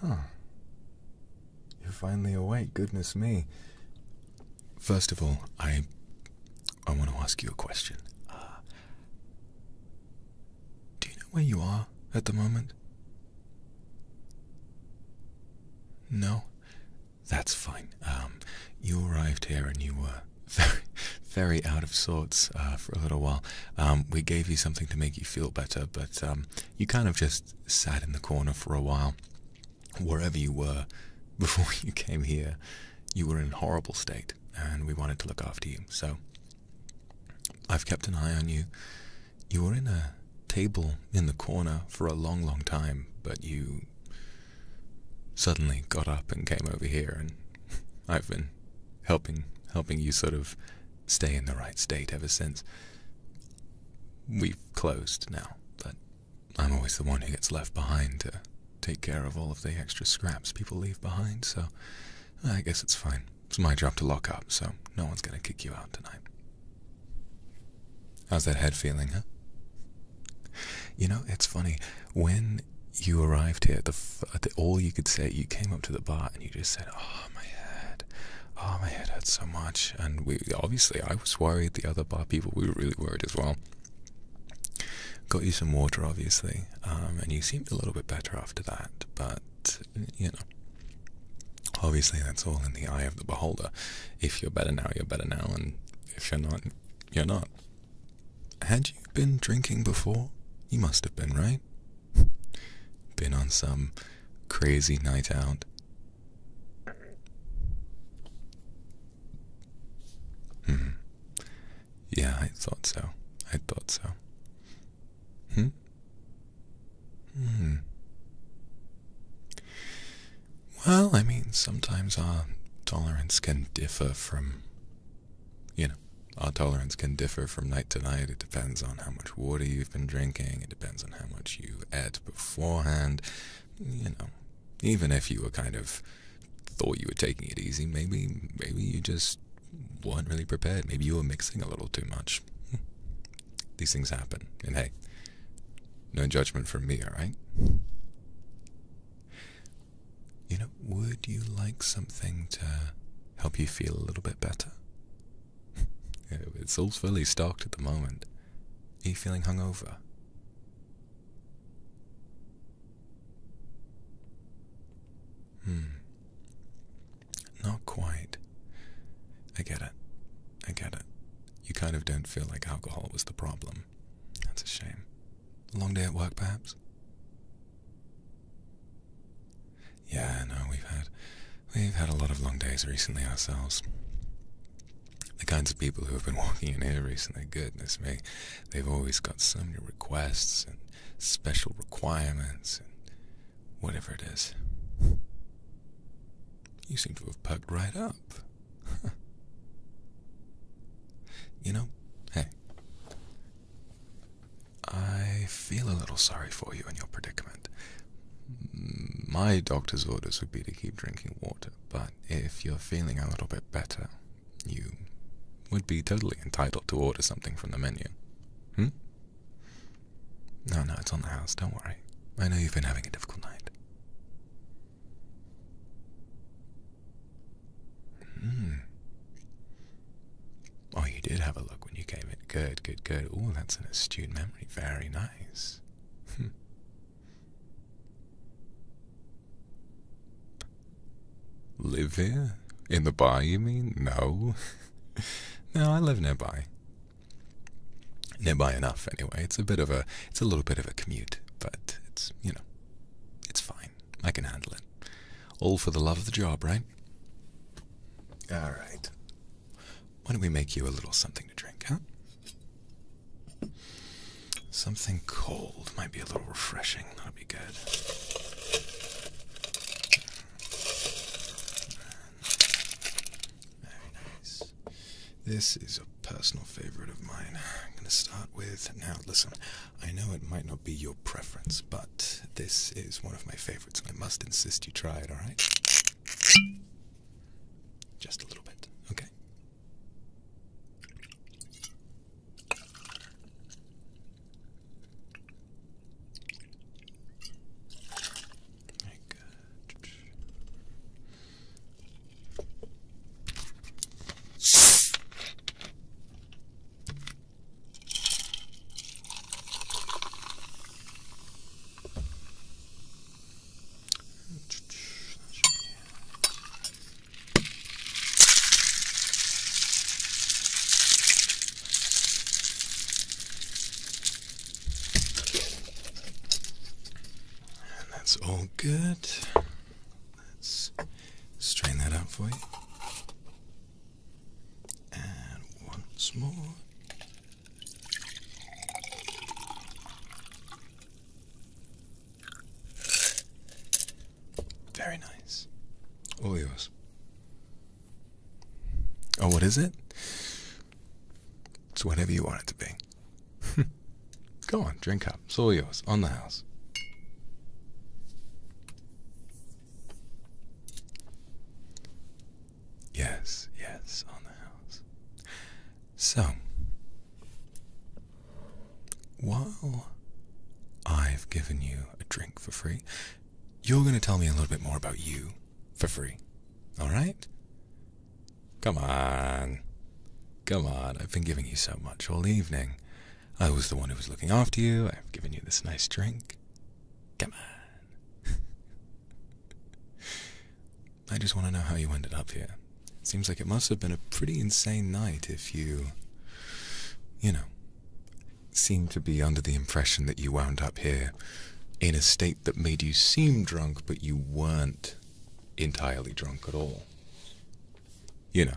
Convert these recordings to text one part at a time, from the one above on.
Huh. You're finally awake, goodness me. First of all, I I want to ask you a question. Uh, do you know where you are at the moment? No? That's fine. Um, you arrived here and you were very, very out of sorts uh, for a little while. Um, we gave you something to make you feel better, but um, you kind of just sat in the corner for a while. Wherever you were before you came here, you were in a horrible state, and we wanted to look after you. So I've kept an eye on you. You were in a table in the corner for a long, long time, but you suddenly got up and came over here, and I've been helping helping you sort of stay in the right state ever since. We've closed now, but I'm always the one who gets left behind to take care of all of the extra scraps people leave behind, so I guess it's fine. It's my job to lock up, so no one's gonna kick you out tonight. How's that head feeling, huh? You know, it's funny. When when you arrived here, all you could say, you came up to the bar and you just said, "Oh my head, oh my head hurts so much." And we obviously, I was worried. The other bar people, we were really worried as well. Got you some water, obviously, um, and you seemed a little bit better after that. But you know, obviously, that's all in the eye of the beholder. If you're better now, you're better now, and if you're not, you're not. Had you been drinking before? You must have been, right? been on some crazy night out. Hmm. Yeah, I thought so. I thought so. Hmm? Hmm. Well, I mean, sometimes our tolerance can differ from, you know, our tolerance can differ from night to night. It depends on how much water you've been drinking, it depends on how much you ate beforehand. You know, even if you were kind of thought you were taking it easy, maybe maybe you just weren't really prepared. Maybe you were mixing a little too much. Hmm. These things happen. And hey, no judgment from me, all right? You know, would you like something to help you feel a little bit better? it's all fairly stocked at the moment. Are you feeling hungover? Hmm. Not quite. I get it. I get it. You kind of don't feel like alcohol was the problem. That's a shame. Long day at work, perhaps? Yeah, no, we've had we've had a lot of long days recently ourselves. The kinds of people who have been walking in here recently, goodness me, they've always got so many requests and special requirements and whatever it is. You seem to have perked right up. you know, hey, I feel a little sorry for you and your predicament. My doctor's orders would be to keep drinking water, but if you're feeling a little bit better, you would be totally entitled to order something from the menu. Hmm? No, no, it's on the house, don't worry. I know you've been having a difficult night. Hmm. Oh, you did have a look when you came in. Good, good, good. Oh, that's an astute memory. Very nice. Hmm. live here? In the bar, you mean? No. no, I live nearby. Nearby enough, anyway. It's a bit of a, it's a little bit of a commute, but it's, you know, it's fine. I can handle it. All for the love of the job, right? All right. Why don't we make you a little something to drink, huh? Something cold might be a little refreshing. That'll be good. Very nice. This is a personal favorite of mine. I'm going to start with. Now, listen, I know it might not be your preference, but this is one of my favorites. and I must insist you try it, alright? Just a little bit, okay? Very good that's all good. Let's strain that out for you. And once more. Very nice. All yours. Oh, what is it? It's whatever you want it to be. Go on, drink up. It's all yours. On the house. Yes, yes, on the house. So, while I've given you a drink for free, you're going to tell me a little bit more about you for free. Alright? Come on. Come on, I've been giving you so much all evening. I was the one who was looking after you. I've given you this nice drink. Come on. I just want to know how you ended up here. It seems like it must have been a pretty insane night if you, you know, seemed to be under the impression that you wound up here in a state that made you seem drunk, but you weren't entirely drunk at all. You know.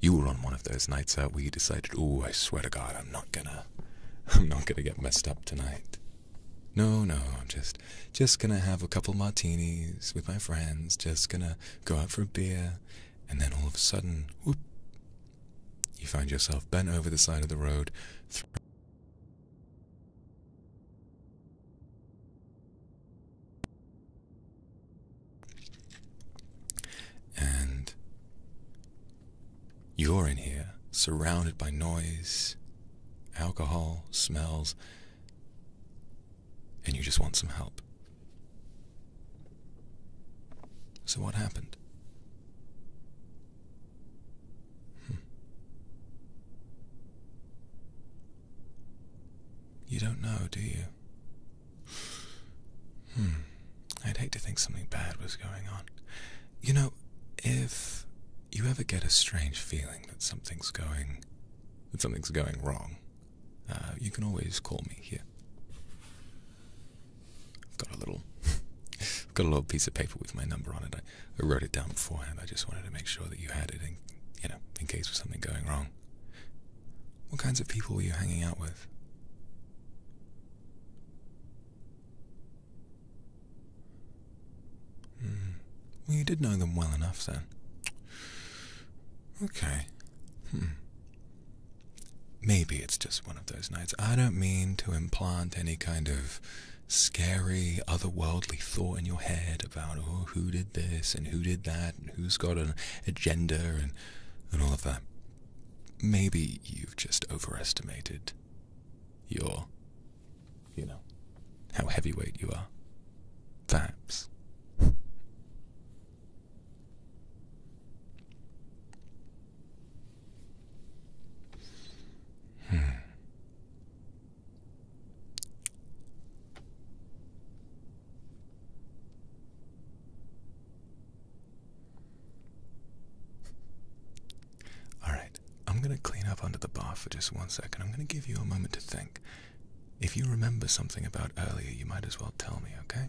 You were on one of those nights out where you decided, oh, I swear to God, I'm not gonna I'm not gonna get messed up tonight. No, no, I'm just just gonna have a couple martinis with my friends, just gonna go out for a beer, and then all of a sudden, whoop you find yourself bent over the side of the road and you're in here, surrounded by noise, alcohol, smells, and you just want some help. So, what happened? Hmm. You don't know, do you? Hmm. I'd hate to think something bad was going on. You know, if you ever get a strange feeling that something's going that something's going wrong, uh, you can always call me here. I've got a little I've got a little piece of paper with my number on it. I, wrote it down beforehand. I just wanted to make sure that you had it in you know, in case of something going wrong. What kinds of people were you hanging out with? Hmm. Well, you did know them well enough then. Okay. Hmm. Maybe it's just one of those nights. I don't mean to implant any kind of scary, otherworldly thought in your head about, oh, who did this and who did that and who's got an agenda and, and all of that. Maybe you've just overestimated your, you know, how heavyweight you are. Perhaps. Hmm. Alright, I'm gonna clean up under the bar for just one second. I'm gonna give you a moment to think. If you remember something about earlier, you might as well tell me, okay?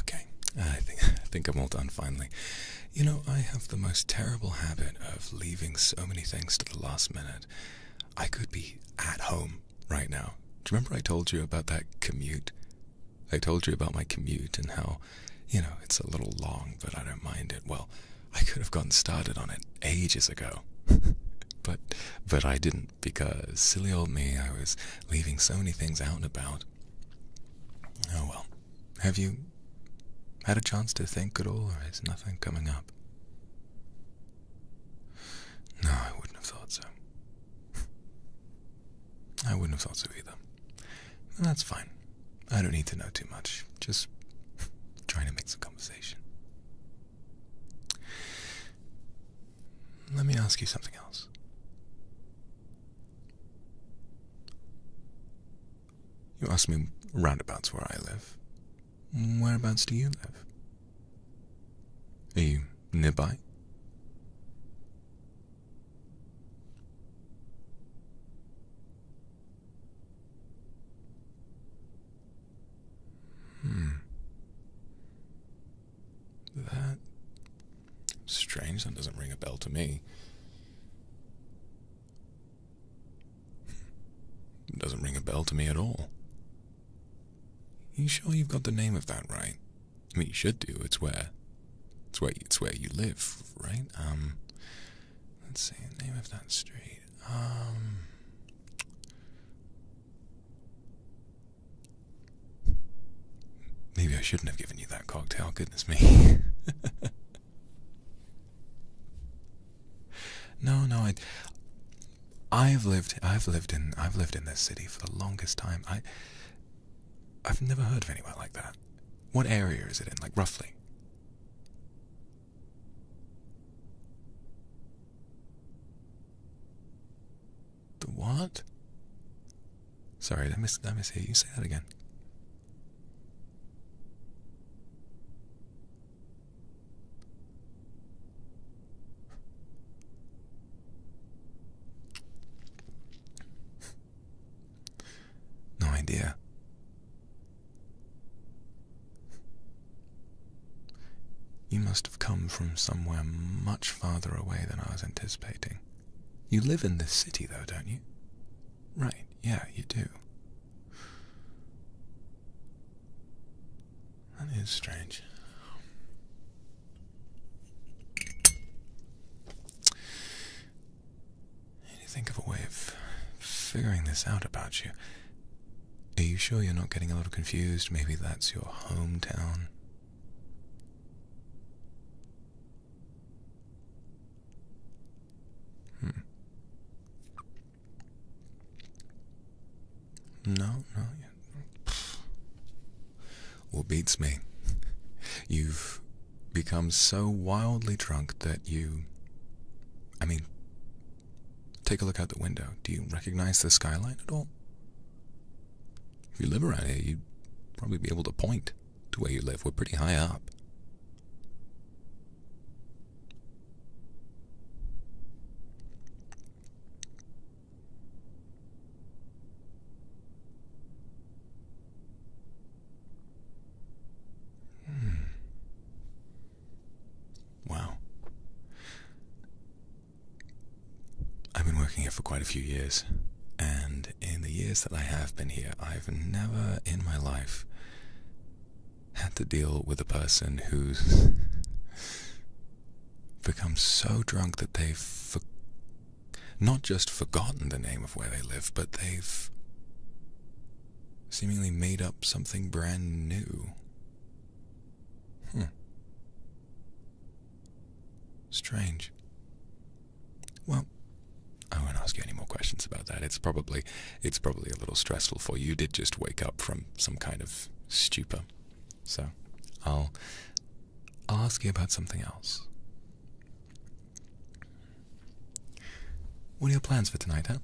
Okay, I think I think I'm all done finally. You know, I have the most terrible habit of leaving so many things to the last minute. I could be at home right now. Do you remember I told you about that commute? I told you about my commute and how, you know, it's a little long, but I don't mind it. Well, I could have gotten started on it ages ago. but but I didn't because silly old me, I was leaving so many things out and about. Oh well. Have you had a chance to think at all, or is nothing coming up? No, I wouldn't have thought so. I wouldn't have thought so either. That's fine. I don't need to know too much. Just trying to make some conversation. Let me ask you something else. You ask me roundabouts where I live. Whereabouts do you live? Are you nearby? Hmm. That Strange, that doesn't ring a bell to me. It doesn't ring a bell to me at all. You sure you've got the name of that right? I mean, you should do. It's where, it's where, it's where you live, right? Um, let's see the name of that street. Um, maybe I shouldn't have given you that cocktail. Goodness me. no, no, I, I've lived, I've lived in, I've lived in this city for the longest time. I, I've never heard of anywhere like that. What area is it in, like roughly? The what? Sorry, let me I miss you. You say that again. no idea. You must have come from somewhere much farther away than I was anticipating. You live in this city, though, don't you? Right, yeah, you do. That is strange. Need to think of a way of figuring this out about you. Are you sure you're not getting a little confused? Maybe that's your hometown? Hmm. No, no, yeah. beats me. You've become so wildly drunk that you. I mean, take a look out the window. Do you recognize the skyline at all? If you live around here, you'd probably be able to point to where you live. We're pretty high up. Hmm. Wow. I've been working here for quite a few years, and in the years that I have been here, I've never in my life had to deal with a person who's become so drunk that they've not just forgotten the name of where they live, but they've seemingly made up something brand new. Hmm. Strange. Well, I won't ask you any more questions about that. It's probably it's probably a little stressful for you. You did just wake up from some kind of stupor. So I'll ask you about something else. What are your plans for tonight, huh?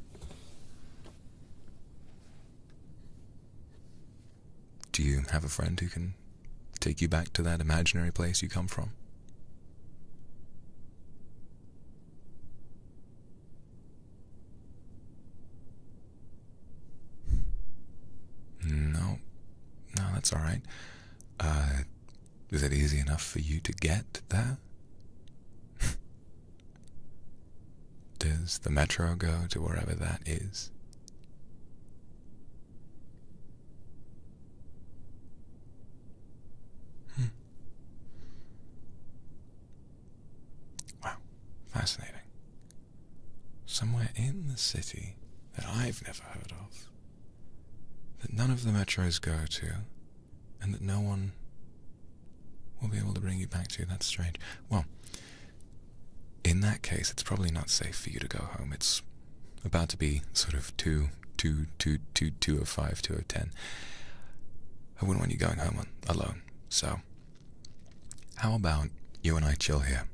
Do you have a friend who can take you back to that imaginary place you come from? No, no, that's all right. Uh, is it easy enough for you to get there? Does the metro go to wherever that is? Hmm. Wow, fascinating. Somewhere in the city that I've never heard of, that none of the metros go to, and that no one will be able to bring you back to. That's strange. Well, in that case, it's probably not safe for you to go home. It's about to be sort of too two, two, two, two of five, two of ten. I wouldn't want you going home alone. So, how about you and I chill here?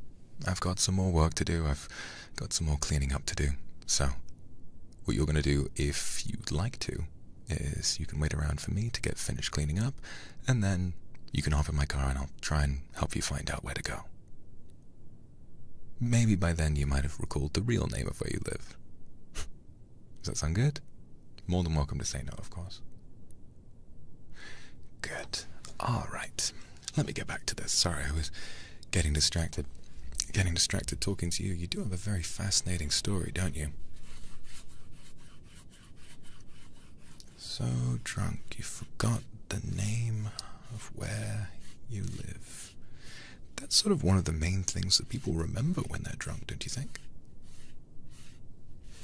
I've got some more work to do. I've got some more cleaning up to do. So, what you're going to do, if you'd like to, is you can wait around for me to get finished cleaning up, and then you can hop in my car and I'll try and help you find out where to go. Maybe by then you might have recalled the real name of where you live. Does that sound good? More than welcome to say no, of course. Good. All right. Let me get back to this. Sorry, I was getting distracted. Getting distracted talking to you. You do have a very fascinating story, don't you? So drunk you forgot the name of where you live. That's sort of one of the main things that people remember when they're drunk, don't you think?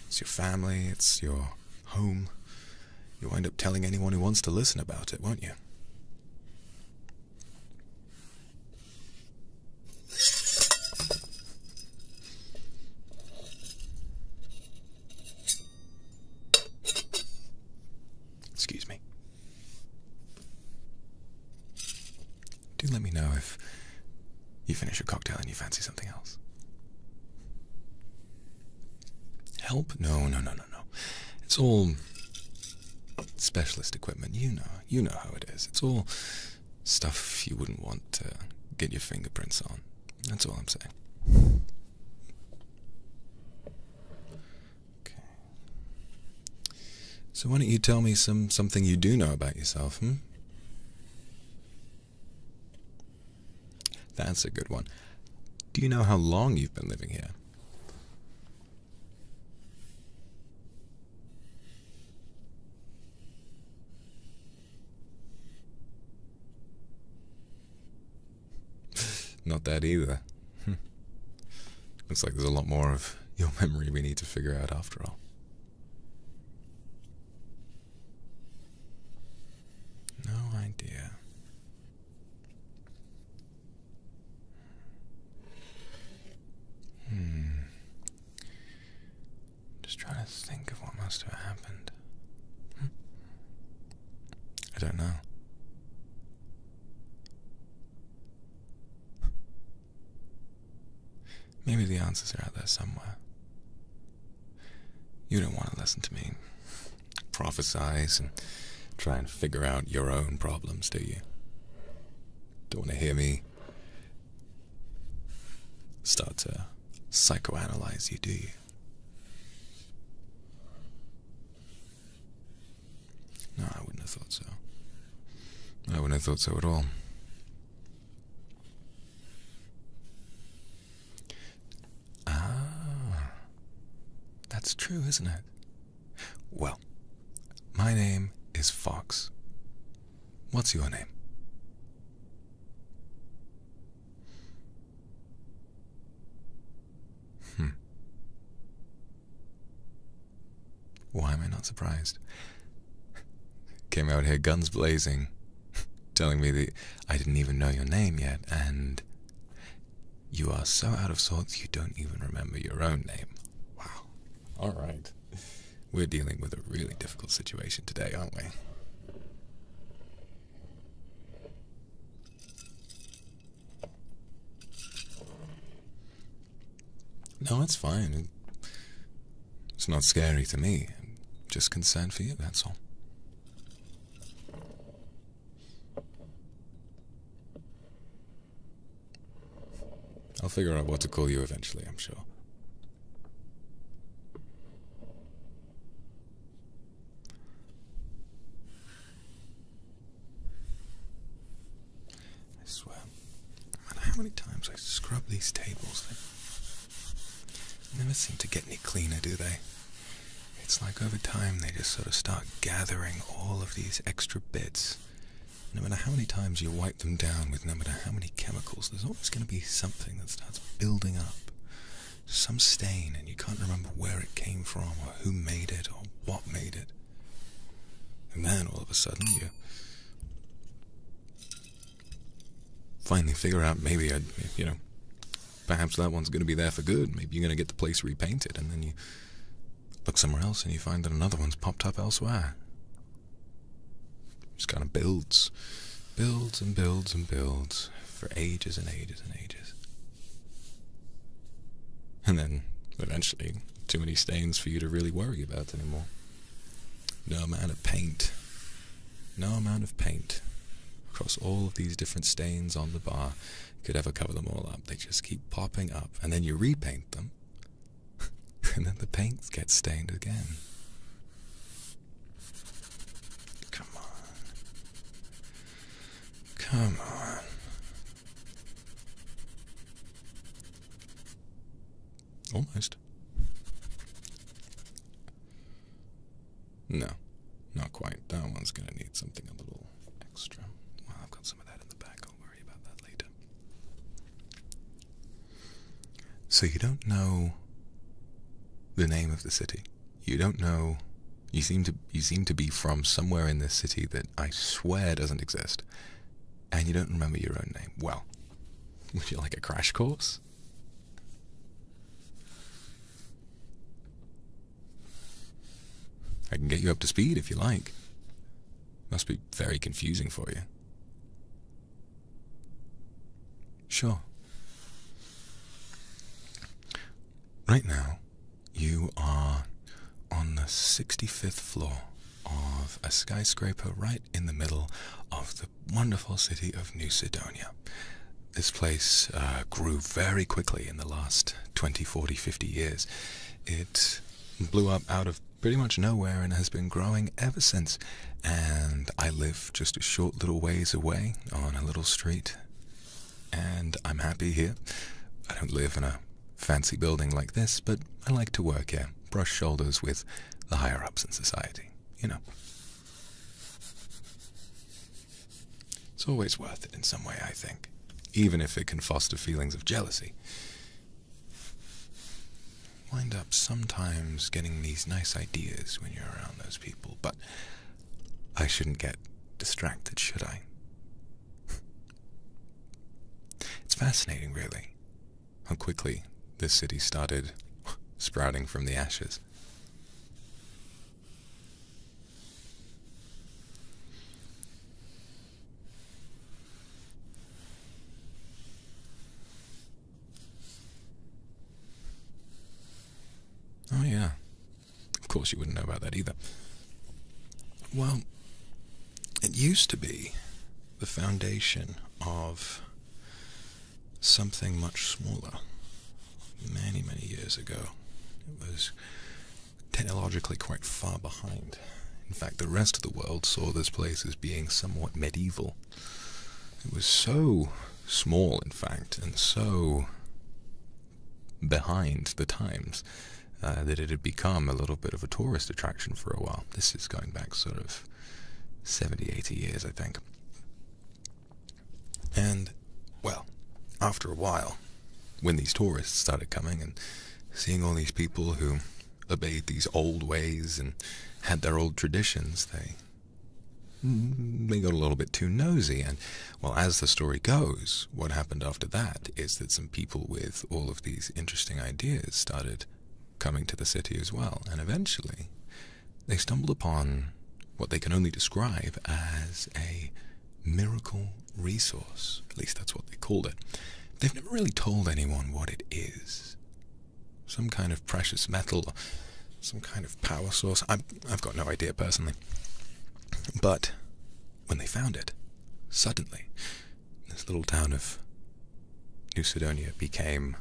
It's your family, it's your home. You'll end up telling anyone who wants to listen about it, won't you? Excuse me. Do let me know if you finish your cocktail and you fancy something else. Help? No, no, no, no, no. It's all specialist equipment. You know, you know how it is. It's all stuff you wouldn't want to get your fingerprints on. That's all I'm saying. Okay. So why don't you tell me some something you do know about yourself, hmm? That's a good one. Do you know how long you've been living here? Not that either. Hmm. Looks like there's a lot more of your memory we need to figure out after all. No idea. Hmm. Just trying to think of what must have happened. Hmm. I don't know. Maybe the answers are out there somewhere. You don't want to listen to me prophesize and try and figure out your own problems, do you? Don't want to hear me start to psychoanalyze you, do you? No, I wouldn't have thought so. I wouldn't have thought so at all. Ah, that's true, isn't it? Well, my name is Fox. What's your name? Hmm. Why am I not surprised? Came out here guns blazing, telling me that I didn't even know your name yet, and you are so out of sorts you don't even remember your own name. Wow. All right. We're dealing with a really difficult situation today, aren't we? No, it's fine. It's not scary to me. just concerned for you, that's all. I'll figure out what to call you eventually, I'm sure. I swear, no matter how many times I scrub these tables, they never seem to get any cleaner, do they? It's like over time they just sort of start gathering all of these extra bits. No matter how many times you wipe them down with no matter how many chemicals, there's always going to be something that starts building up. Some stain, and you can't remember where it came from, or who made it, or what made it. And then all of a sudden you finally figure out maybe i you know, perhaps that one's going to be there for good. Maybe you're going to get the place repainted. And then you look somewhere else and you find that another one's popped up elsewhere. Just kind of builds, builds and builds and builds for ages and ages and ages. And then eventually too many stains for you to really worry about anymore. No amount of paint, no amount of paint across all of these different stains on the bar could ever cover them all up. They just keep popping up, and then you repaint them, and then the paints get stained again. Come on. Come on. Almost. No, not quite. That one's going to need something a little extra. Well, I've got some of that in the back. I'll worry about that later. So, you don't know the name of the city. You don't know. You seem to you seem to be from somewhere in this city that I swear doesn't exist and you don't remember your own name. Well, would you like a crash course? I can get you up to speed if you like. Must be very confusing for you. Sure. Right now, you are on the 65th floor of a skyscraper right in the middle of the wonderful city of New Sidonia. This place uh, grew very quickly in the last 20, 40, 50 years. It blew up out of pretty much nowhere and has been growing ever since. And I live just a short little ways away on a little street. And I'm happy here. I don't live in a fancy building like this, but I like to work here, brush shoulders with the higher ups in society, you know. It's always worth it in some way, I think, even if it can foster feelings of jealousy. Wind up sometimes getting these nice ideas when you're around those people, but I shouldn't get distracted, should I? it's fascinating, really how quickly this city started sprouting from the ashes. Oh, yeah. Of course, you wouldn't know about that either. Well, it used to be the foundation of something much smaller. Many, many years ago, it was technologically quite far behind. In fact, the rest of the world saw this place as being somewhat medieval. It was so small, in fact, and so behind the times uh, that it had become a little bit of a tourist attraction for a while. This is going back sort of 70, 80 years, I think. And, well, after a while, when these tourists started coming and seeing all these people who obeyed these old ways and had their old traditions, they mm, they got a little bit too nosy. And, well, as the story goes, what happened after that is that some people with all of these interesting ideas started coming to the city as well, and eventually they stumbled upon what they can only describe as a miracle resource. At least that's what they called it. They've never really told anyone what it is. Some kind of precious metal, some kind of power source. I've got no idea personally. But when they found it, suddenly this little town of New Sidonia became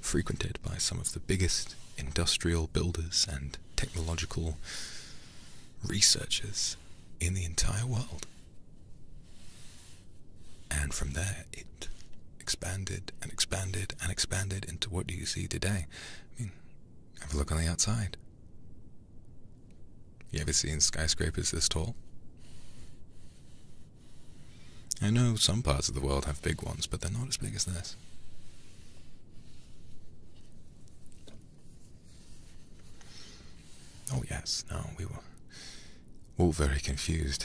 frequented by some of the biggest industrial builders and technological researchers in the entire world. And from there, it expanded and expanded and expanded into what do you see today. I mean, have a look on the outside. You ever seen skyscrapers this tall? I know some parts of the world have big ones, but they're not as big as this. Oh, yes, now we were all very confused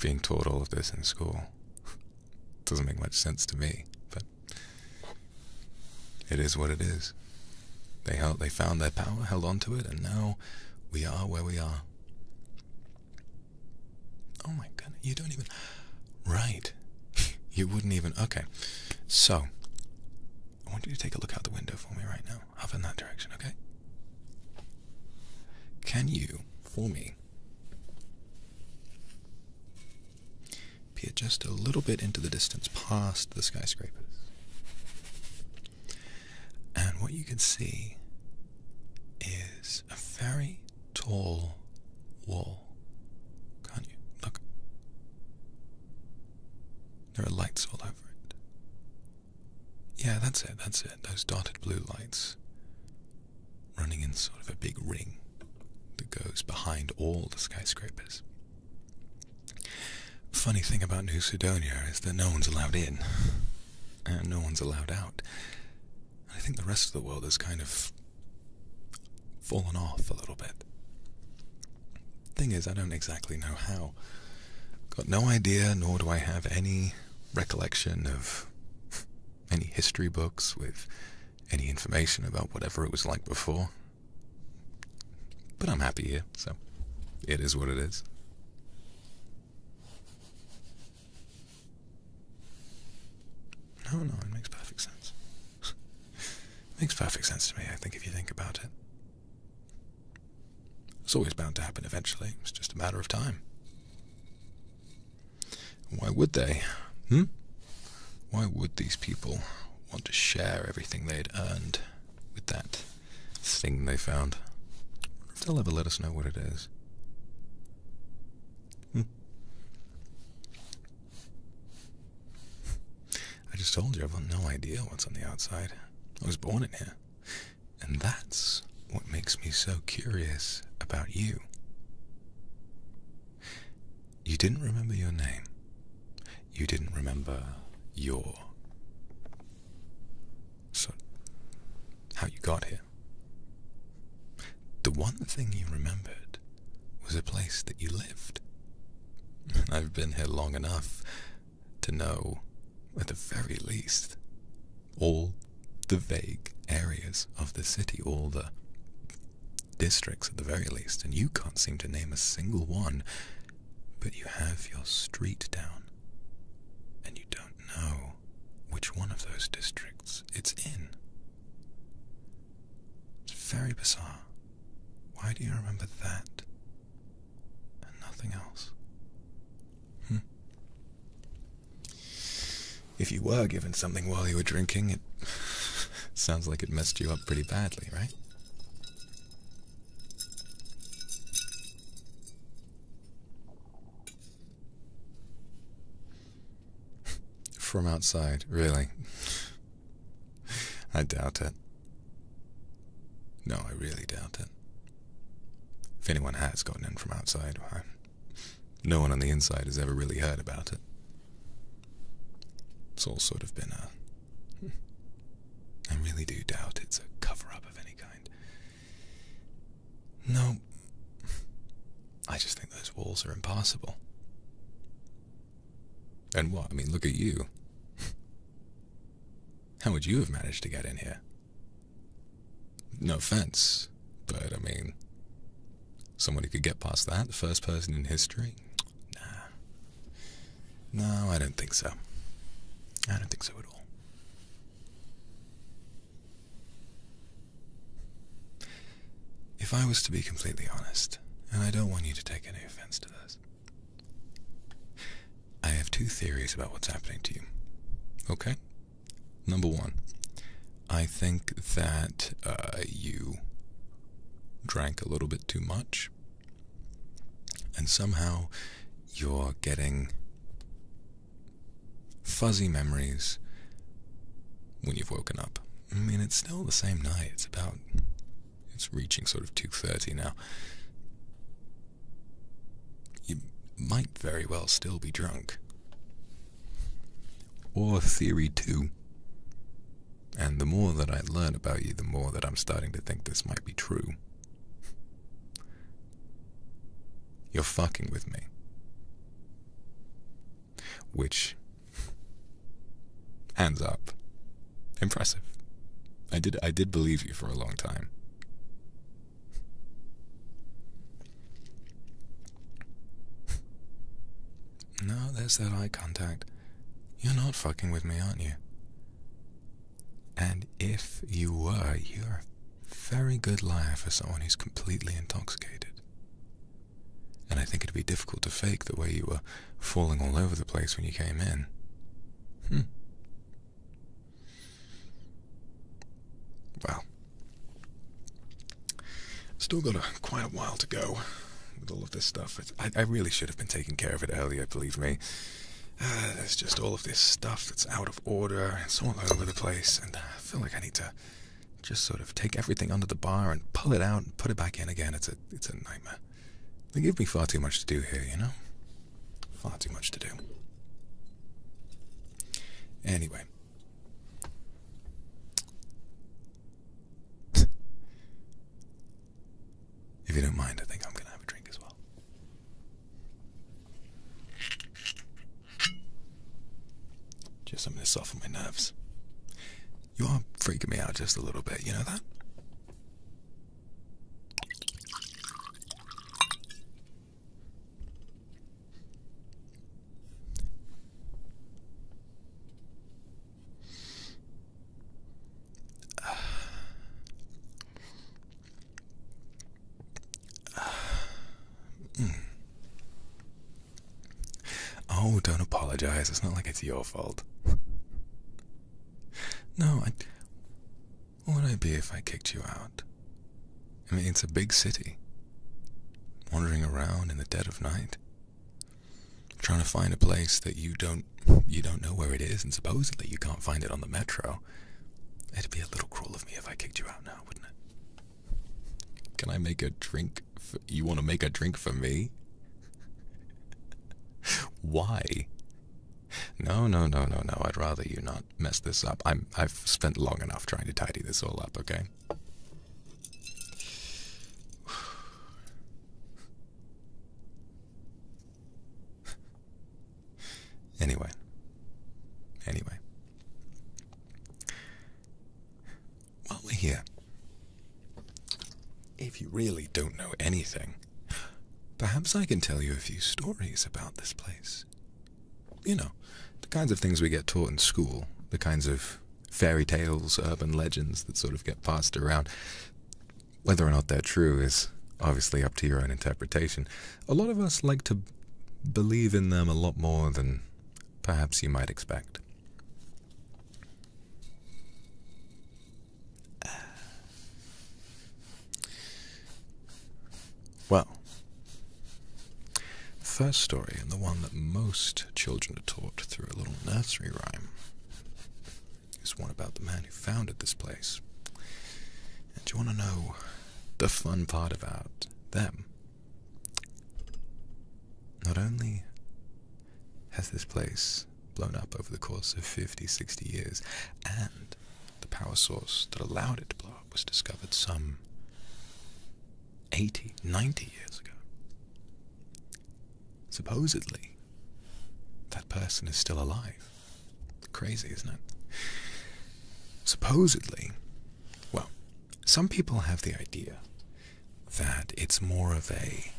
being taught all of this in school. Doesn't make much sense to me, but it is what it is. They held, they found their power, held on to it, and now we are where we are. Oh my God! you don't even... Right. you wouldn't even... Okay. So, I want you to take a look out the window for me right now. Up in that direction, okay? Can you, for me, peer just a little bit into the distance past the skyscrapers? And what you can see is a very tall wall. Can't you? Look. There are lights all over it. Yeah, that's it, that's it. Those dotted blue lights running in sort of a big ring that goes behind all the skyscrapers. Funny thing about New Sudonia is that no one's allowed in, and no one's allowed out. I think the rest of the world has kind of fallen off a little bit. Thing is, I don't exactly know how. Got no idea, nor do I have any recollection of any history books with any information about whatever it was like before. But I'm happy here, so it is what it is. No, no, it makes perfect sense. it makes perfect sense to me, I think, if you think about it. It's always bound to happen eventually. It's just a matter of time. Why would they? Hmm? Why would these people want to share everything they'd earned with that thing they found. They'll ever let us know what it is. Hmm. I just told you I've no idea what's on the outside. I was born in here. And that's what makes me so curious about you. You didn't remember your name. You didn't remember your so, how you got here? The one thing you remembered was a place that you lived. I've been here long enough to know, at the very least, all the vague areas of the city, all the districts at the very least, and you can't seem to name a single one but you have your street down, and you don't know which one of those districts it's in. It's very bizarre. Why do you remember that and nothing else? Hmm. If you were given something while you were drinking, it sounds like it messed you up pretty badly, right? From outside, really? I doubt it. No, I really doubt it. If anyone has gotten in from outside, no one on the inside has ever really heard about it. It's all sort of been a. I really do doubt it's a cover up of any kind. No. I just think those walls are impossible. And what? I mean, look at you. How would you have managed to get in here? No offense, but I mean, somebody could get past that, the first person in history? Nah. No, I don't think so. I don't think so at all. If I was to be completely honest, and I don't want you to take any offense to this, I have two theories about what's happening to you. Okay? Number one, I think that uh, you drank a little bit too much, and somehow you're getting Fuzzy memories when you've woken up. I mean, it's still the same night. It's about. It's reaching sort of 2.30 now. You might very well still be drunk. Or Theory 2. And the more that I learn about you, the more that I'm starting to think this might be true. You're fucking with me. Which, hands up, impressive. I did, I did believe you for a long time. No, there's that eye contact. You're not fucking with me, aren't you? And if you were, you're a very good liar for someone who's completely intoxicated. And I think it'd be difficult to fake the way you were falling all over the place when you came in. Hmm. Well, still got quite a while to go with all of this stuff. I, really should have been taking care of it earlier, believe me. Uh, there's just all of this stuff that's out of Order and It's all over the place, and I feel like I need to just sort of take everything under the bar and pull it out and put it back in again. It's a it's a nightmare. They give me far too much to do here, you know? Far too much to do. Anyway. if you don't mind, I think I'm gonna have a drink as well. Just going to soften my nerves. You are freaking me out just a little bit, you know that? Oh, don't apologize. It's not like it's your fault. No, I. What would I be if I kicked you out? I mean, it's a big city. Wandering around in the dead of night, trying to find a place that you don't you don't know where it is, and supposedly you can't find it on the metro. It'd be a little cruel of me if I kicked you out now, wouldn't it? Can I make a drink? For, you want to make a drink for me? Why? No, no, no, no, no. I'd rather you not mess this up. I've spent long enough trying to tidy this all up, okay? anyway. Anyway. While we're here, if you really don't know anything, perhaps I can tell you a few stories about this place. You know, the kinds of things we get taught in school, the kinds of fairy tales, urban legends that sort of get passed around. Whether or not they're true is obviously up to your own interpretation, a lot of us like to believe in them a lot more than perhaps you might expect. Well, the first story, and the one that most children are taught through a little nursery rhyme, is one about the man who founded this place. And do you want to know the fun part about them. Not only has this place blown up over the course of 50, 60 years, and the power source that allowed it to blow up was discovered some 80, 90 years ago. Supposedly, that person is still alive. Crazy, isn't it? Supposedly, well, some people have the idea that it's more of a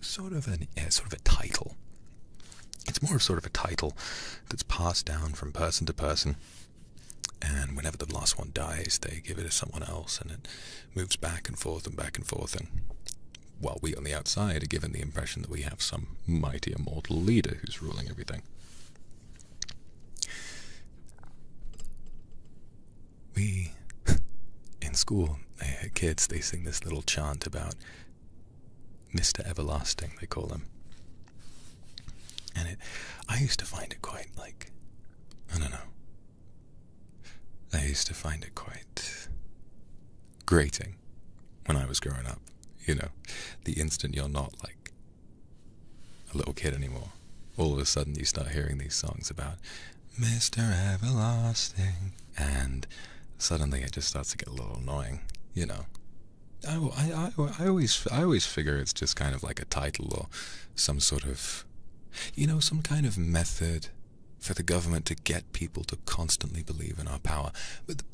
sort of an sort of a title. It's more of sort of a title that's passed down from person to person, and whenever the last one dies, they give it to someone else, and it moves back and forth and back and forth. And while we on the outside are given the impression that we have some mighty immortal leader who's ruling everything, we, in school, eh, kids, they sing this little chant about Mr. Everlasting, they call him. And it, I used to find it quite like, I don't know. I used to find it quite grating when I was growing up. You know, the instant you're not like a little kid anymore. All of a sudden, you start hearing these songs about Mr. Everlasting, and suddenly it just starts to get a little annoying, you know. I, I, I, always I always figure it's just kind of like a title or some sort of, you know, some kind of method for the government to get people to constantly believe in our power. But the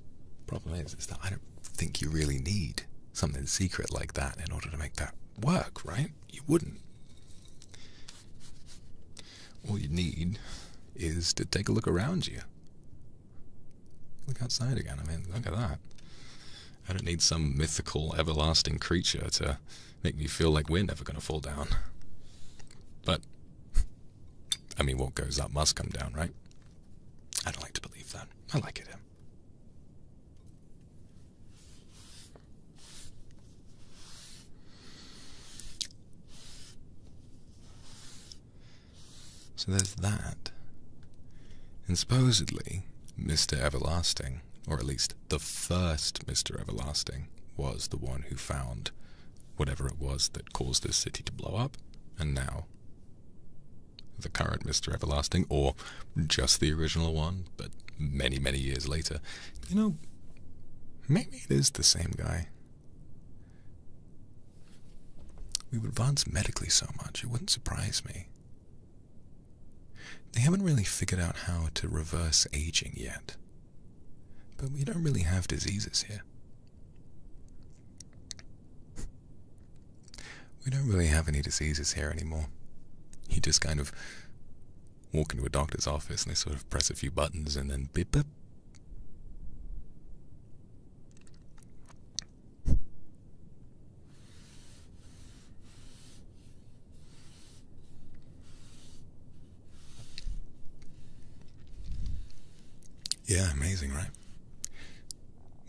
problem is, is that I don't think you really need something secret like that in order to make that work, right? You wouldn't. All you need is to take a look around you. Look outside again. I mean, look at that. I don't need some mythical, everlasting creature to make me feel like we're never going to fall down. But, I mean, what goes up must come down, right? I don't like to believe that. I like it. So there's that. And supposedly, Mr. Everlasting, or at least the first Mr. Everlasting, was the one who found whatever it was that caused this city to blow up, and now the current Mr. Everlasting, or just the original one, but many, many years later. You know, maybe it is the same guy. We've advanced medically so much, it wouldn't surprise me. They haven't really figured out how to reverse aging yet. But we don't really have diseases here. We don't really have any diseases here anymore. You just kind of walk into a doctor's office and they sort of press a few buttons and then beep beep. Yeah, amazing, right?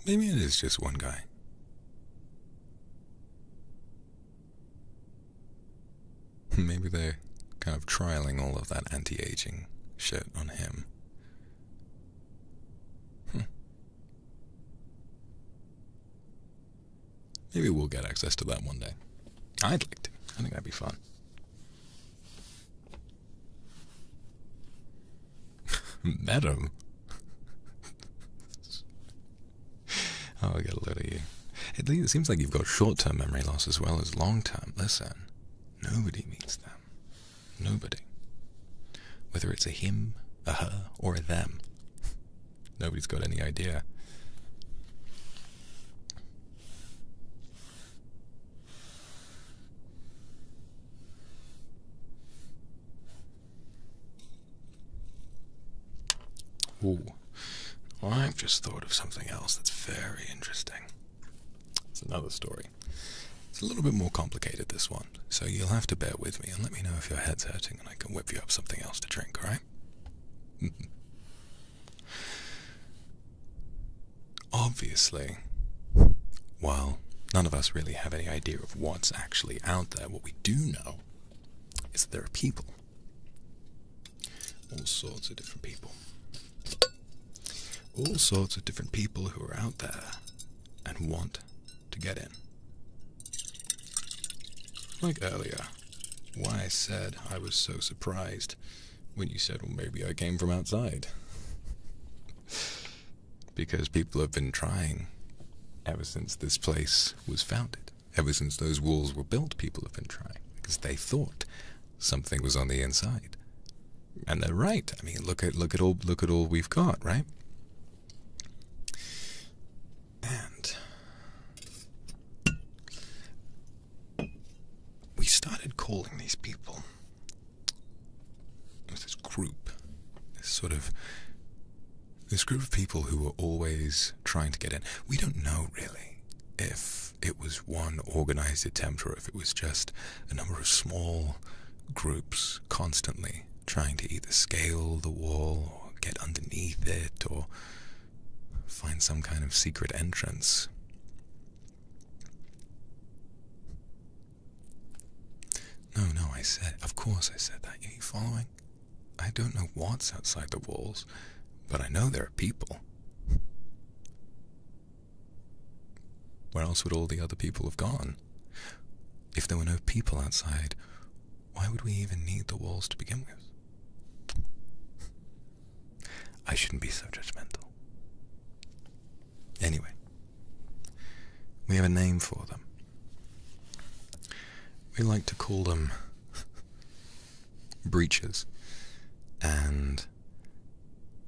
Maybe it is just one guy. Maybe they're kind of trialing all of that anti aging shit on him. Hmm. Maybe we'll get access to that one day. I'd like to. I think that'd be fun. Madam. oh, I get a load of you. it seems like you've got short-term memory loss as well as long-term. Listen, nobody means them. Nobody. Whether it's a him, a her, or a them. Nobody's got any idea. Ooh, I've just thought of something else that's very interesting. It's another story. It's a little bit more complicated, this one, so you'll have to bear with me and let me know if your head's hurting and I can whip you up something else to drink, right? Obviously, while none of us really have any idea of what's actually out there, what we do know is that there are people. All sorts of different people. All sorts of different people who are out there and want to get in. Like earlier, why I said I was so surprised when you said, well, maybe I came from outside because people have been trying ever since this place was founded. Ever since those walls were built, people have been trying because they thought something was on the inside. And they're right. I mean, look at look at all look at all we've got, right? And we started calling these people this group, this sort of this group of people who were always trying to get in. We don't know really if it was one organized attempt or if it was just a number of small groups constantly trying to either scale the wall or get underneath it or find some kind of secret entrance. No, no, I said, of course I said that. Are you following? I don't know what's outside the walls, but I know there are people. Where else would all the other people have gone? If there were no people outside, why would we even need the walls to begin with? I shouldn't be so judgmental. Anyway, we have a name for them. We like to call them breaches. And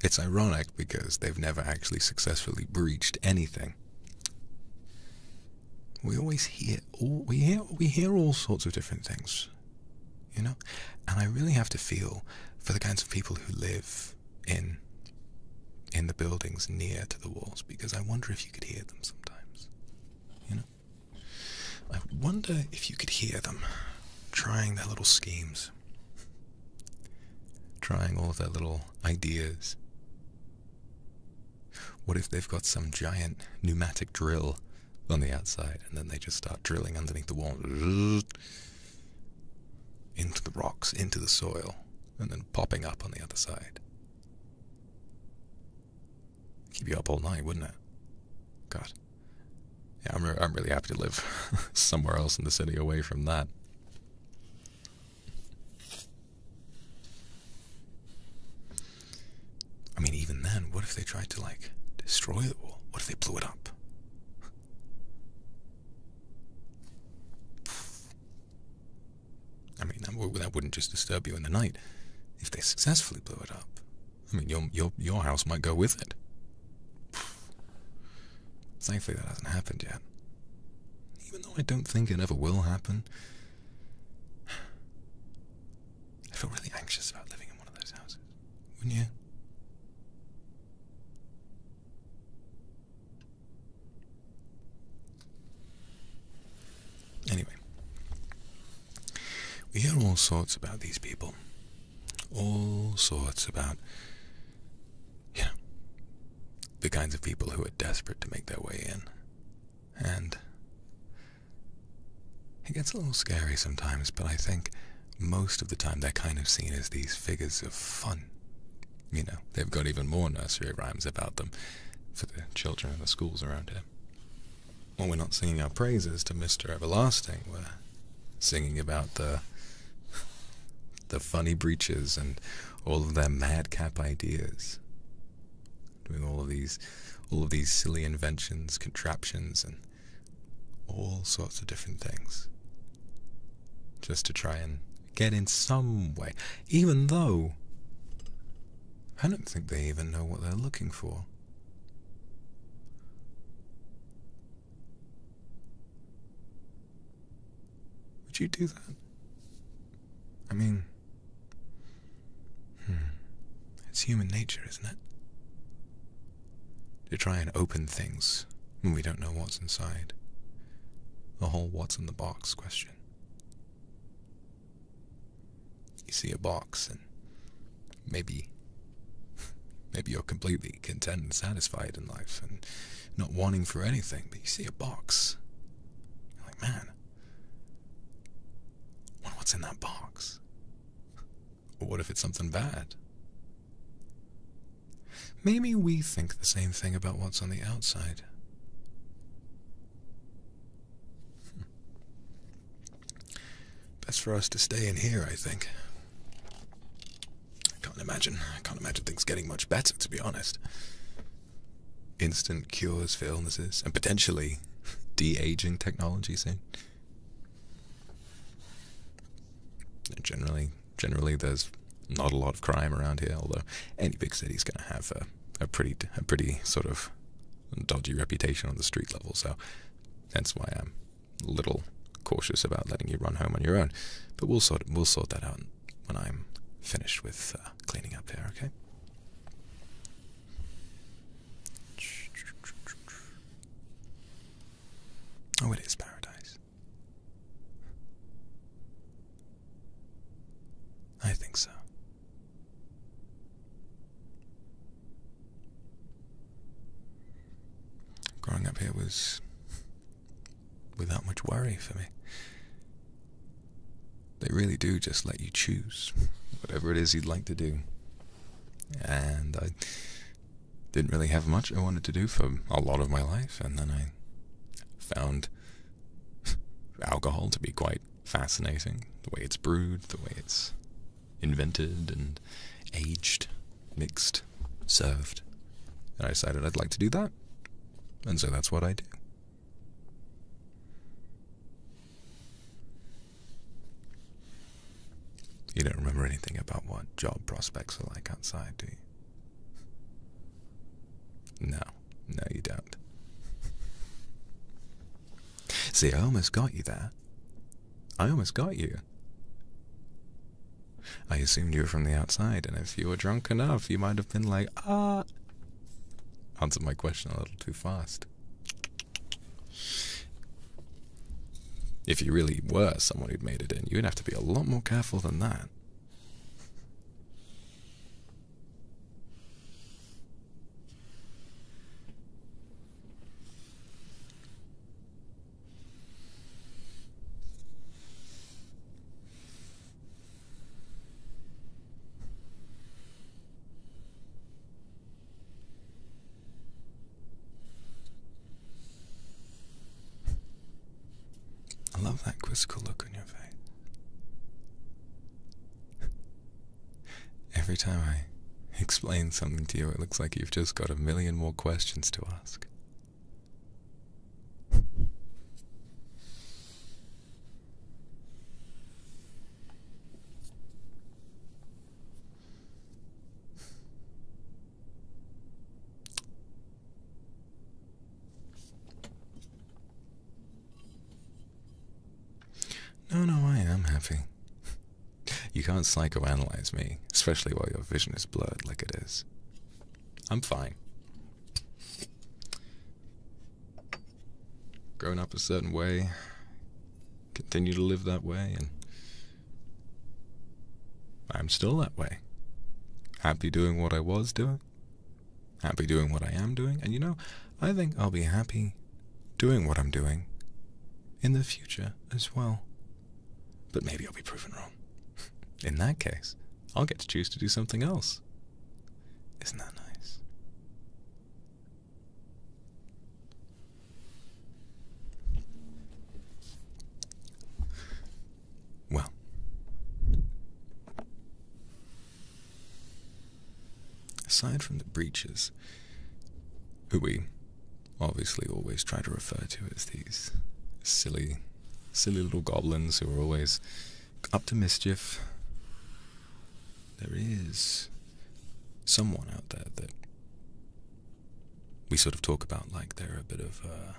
it's ironic because they've never actually successfully breached anything. We always hear all we hear we hear all sorts of different things. You know? And I really have to feel for the kinds of people who live in in the buildings near to the walls because I wonder if you could hear them sometimes. You know? I wonder if you could hear them trying their little schemes, trying all their little ideas. What if they've got some giant pneumatic drill on the outside and then they just start drilling underneath the wall? Into the rocks, into the soil, and then popping up on the other side. Keep you up all night, wouldn't it? God. Yeah, I'm, I'm really happy to live somewhere else in the city away from that. I mean, even then, what if they tried to, like, destroy the wall? What if they blew it up? I mean, that, wouldn't just disturb you in the night. If they successfully blew it up, I mean, your your your house might go with it. Thankfully, that hasn't happened yet. Even though I don't think it ever will happen, I feel really anxious about living in one of those houses. Wouldn't you? Anyway, we hear all sorts about these people, all sorts about, you the kinds of people who are desperate to make their way in. And it gets a little scary sometimes, but I think most of the time they're kind of seen as these figures of fun, you know, they've got even more nursery rhymes about them for the children in the schools around here. Well, we're not singing our praises to Mr. Everlasting, we're singing about the the funny breeches and all of their madcap ideas. Doing all of these all of these silly inventions, contraptions and all sorts of different things. Just to try and get in some way, even though I don't think they even know what they're looking for. Would you do that? I mean, hmm, it's human nature, isn't it? To try and open things when we don't know what's inside. The whole what's in the box question. You see a box and maybe maybe you're completely content and satisfied in life and not wanting for anything, but you see a box. You're like, man, what's in that box? what if it's something bad? Maybe we think the same thing about what's on the outside. Best for us to stay in here, I think. I can't imagine. I can't imagine things getting much better, to be honest. Instant cures for illnesses and potentially de aging technology soon. Generally, generally, there's not a lot of crime around here, although any big city's going to have uh, a pretty a pretty sort of dodgy reputation on the street level, so that's why I'm a little cautious about letting you run home on your own. But we'll sort we'll sort that out when I'm finished with uh, cleaning up here, okay? Oh, it is paradise. I think so. Growing up here was without much worry for me. They really do just let you choose whatever it is you'd like to do. And I didn't really have much I wanted to do for a lot of my life, and then I found alcohol to be quite fascinating. The way it's brewed, the way it's invented and aged, mixed, served. And I decided I'd like to do that. And so that's what I do. You don't remember anything about what job prospects are like outside, do you? No no, you don't. See, I almost got you there. I almost got you. I assumed you were from the outside, and if you were drunk enough, you might have been like, ah. Answered my question a little too fast. If you really were someone who'd made it in, you'd have to be a lot more careful than that. I love that quizzical look on your face. Every time I explain something to you, it looks like you've just got a million more questions to ask. No, no, I am happy. you can't psychoanalyze me, especially while your vision is blurred like it is. I'm fine. Growing up a certain way, continue to live that way, and I'm still that way. Happy doing what I was doing happy doing what I am doing. And you know, I think I'll be happy doing what I'm doing in the future as well. But maybe I'll be proven wrong. In that case, I'll get to choose to do something else. Isn't that nice? Well, Aside from the breaches, who we obviously always try to refer to as these silly, silly little goblins who are always up to mischief, there is someone out there that we sort of talk about like they're a bit of a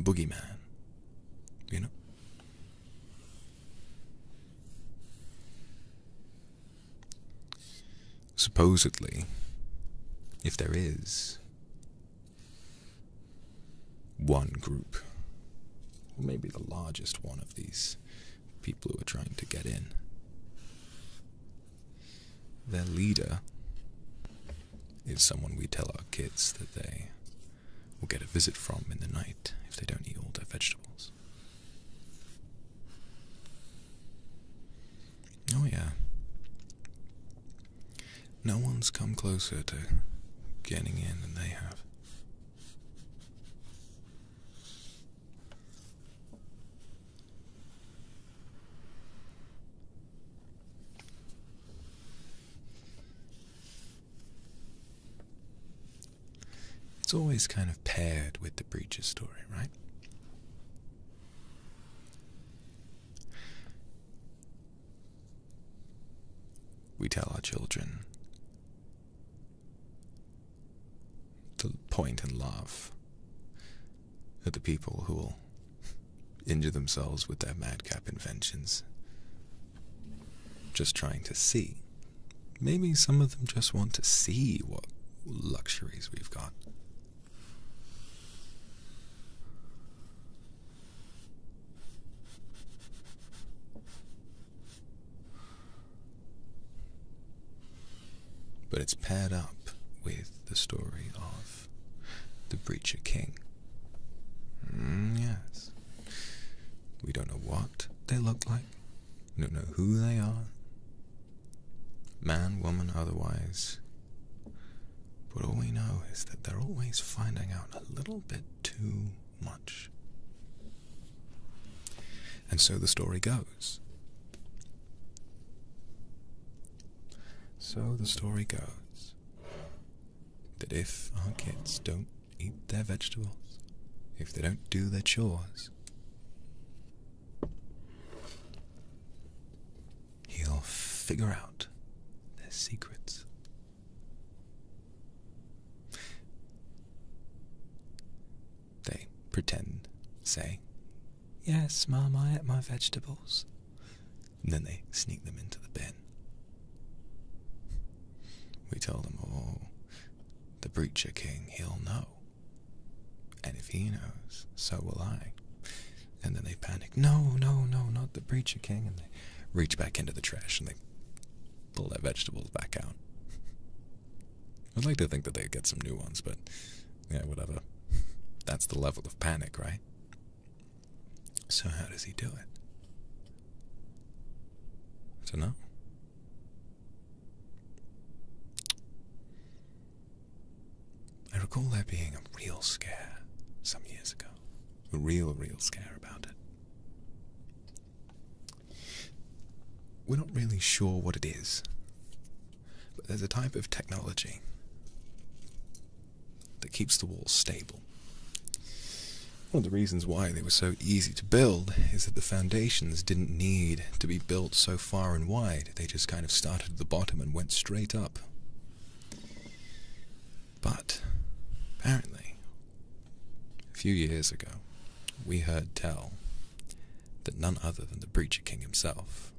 boogeyman, you know? Supposedly, if there is one group, or maybe the largest one of these people who are trying to get in, their leader is someone we tell our kids that they will get a visit from in the night if they don't eat all their vegetables. Oh, yeah. No one's come closer to getting in than they have. It's always kind of paired with the breaches story, right? We tell our children to point and laugh at the people who will injure themselves with their madcap inventions just trying to see. Maybe some of them just want to see what luxuries we've got. But it's paired up with the story of the Breacher King. Mm, yes. We don't know what they look like like, you don't know who they are, man, woman, otherwise. But all we know is that they're always finding out a little bit too much. And so the story goes. So the story goes that if our kids don't eat their vegetables, if they don't do their chores, he'll figure out their secrets. They pretend, say, Yes, Mum, I ate my vegetables. And then they sneak them into the bin. We told him, oh, the Breacher King, he'll know. And if he knows, so will I. And then they panic, no, no, no, not the Breacher King. And they reach back into the trash and they pull their vegetables back out. I'd like to think that they get some new ones, but yeah, whatever. That's the level of panic, right? So, how does he do it? I don't know. I recall there being a real scare some years ago. A real, real scare about it. We're not really sure what it is, but there's a type of technology that keeps the walls stable. One of the reasons why they were so easy to build is that the foundations didn't need to be built so far and wide. They just kind of started at the bottom and went straight up. But, apparently, a few years ago, we heard tell that none other than the Breacher King himself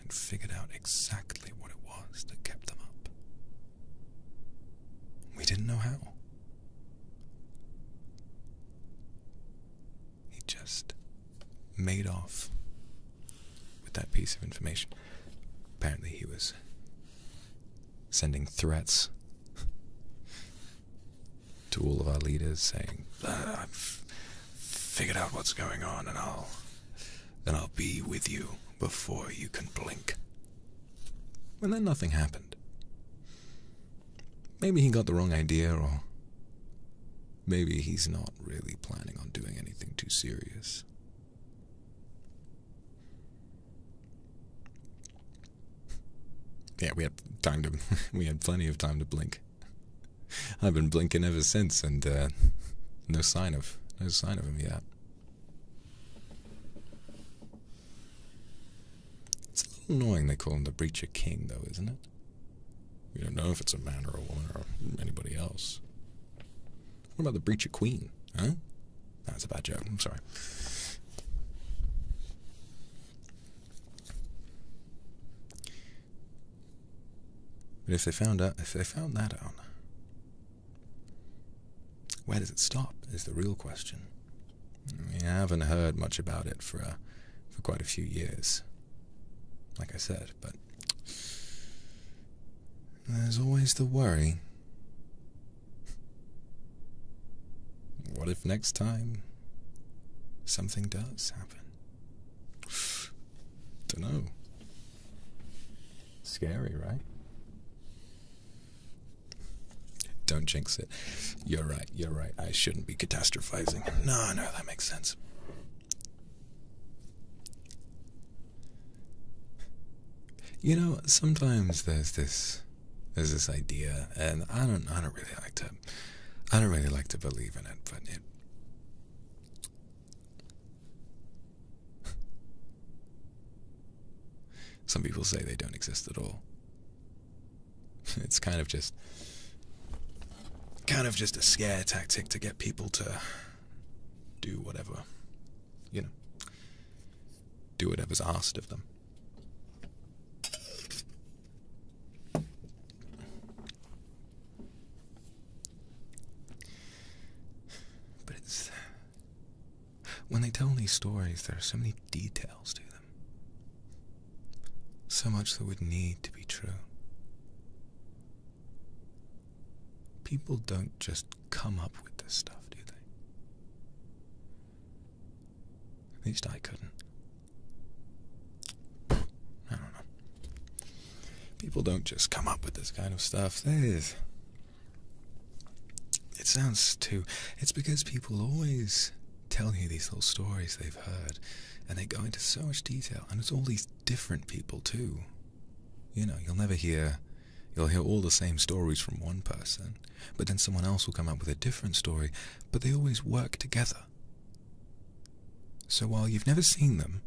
had figured out exactly what it was that kept them up. We didn't know how. He just made off with that piece of information. Apparently, he was sending threats to all of our leaders, saying, "I've figured out what's going on, and I'll then I'll be with you before you can blink." And then nothing happened. Maybe he got the wrong idea, or maybe he's not really planning on doing anything too serious. Yeah, we had time to we had plenty of time to blink. I've been blinking ever since, and uh, no sign of no sign of him yet. It's a little annoying they call him the Breacher King, though, isn't it? We don't know if it's a man or a woman or anybody else. What about the Breacher Queen, huh? That's a bad joke, I'm sorry. But if they found out, if they found that out, where does it stop? Is the real question. We haven't heard much about it for uh, for quite a few years. Like I said, but there's always the worry. What if next time something does happen? Dunno. Scary, right? Don't jinx it. You're right, you're right. I shouldn't be catastrophizing. No, no, that makes sense. You know, sometimes there's this there's this idea and I don't I don't really like to I don't really like to believe in it, but Some people say they don't exist at all. it's kind of just kind of just a scare tactic to get people to do whatever you know do whatever's asked of them but it's when they tell these stories there are so many details to them so much that would need to be true. People don't just come up with this stuff, do they? At least I couldn't. I don't know. People don't just come up with this kind of stuff. It sounds too. It's because people always telling you these little stories they've heard, and they go into so much detail, and it's all these different people too. You know, you'll never hear, you'll hear all the same stories from one person, but then someone else will come up with a different story, but they always work together. So while you've never seen them,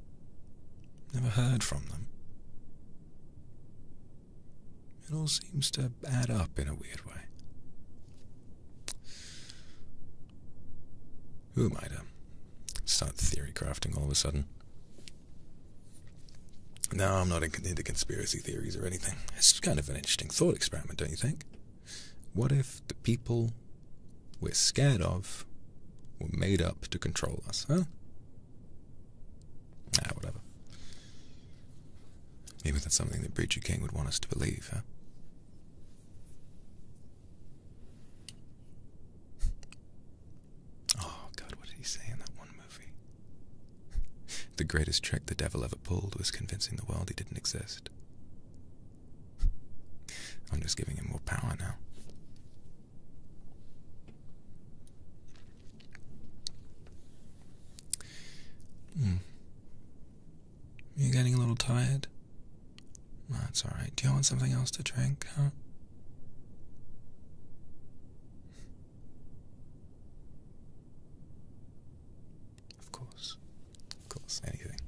never heard from them, it all seems to add up in a weird way. Who am I to start theory crafting all of a sudden? No, I'm not into conspiracy theories or anything. It's kind of an interesting thought experiment, don't you think? What if the people we're scared of were made up to control us, huh? Ah, whatever. Maybe that's something that Bridger King would want us to believe, huh? Oh, God, what did he say in that one movie? the greatest trick the devil ever pulled was convincing the world he didn't exist. I'm just giving him more power now. Hmm. You are getting a little tired? that's alright. Do you want something else to drink, Of course. Of course, anything.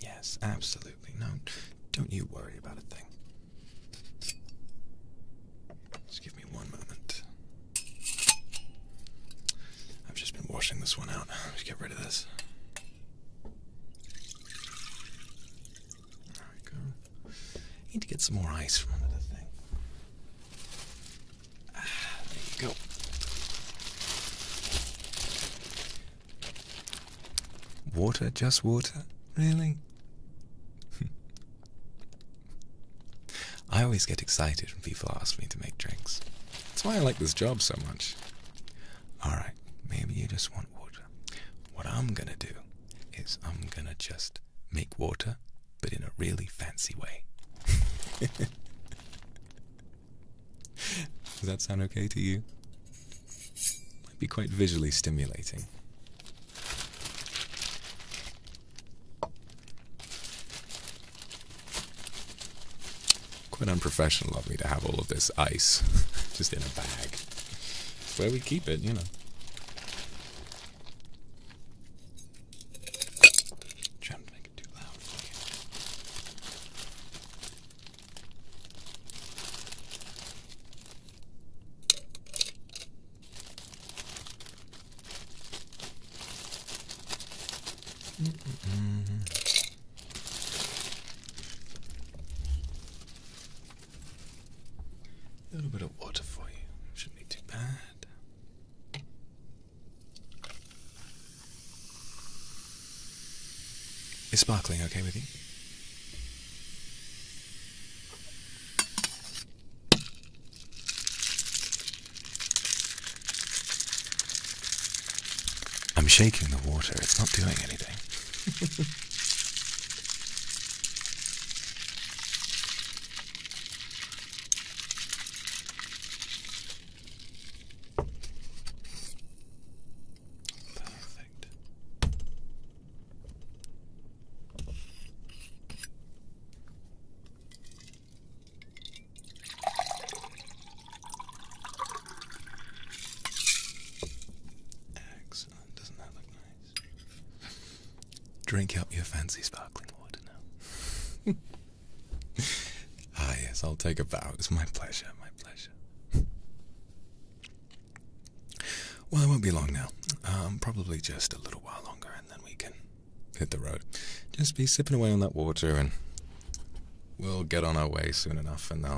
Yes, absolutely. No, don't you worry about a thing. Just give me one moment. I've just been washing this one out. Let's get rid of this. There we go. need to get some more ice from under thing. Ah, there you go. Water, just water? Really? I always get excited when people ask me to make drinks. That's why I like this job so much. Alright, maybe you just want water. What I'm gonna do is I'm gonna just make water, but in a really fancy way. Does that sound okay to you? Might be quite visually stimulating. Quite unprofessional of me to have all of this ice just in a bag. where we keep it, you know. A little bit of water for you. Shouldn't be too bad. Is sparkling okay with you? I'm shaking the water, it's not doing anything. Perfect. Excellent. Uh, doesn't that look nice? Drink up your fancy sparkling water now. ah, yes, I'll take a bow. It's my pleasure, my pleasure. Well, it won't be long now. Um, probably just a little while longer, and then we can hit the road. Just be sipping away on that water, and we'll get on our way soon enough, and they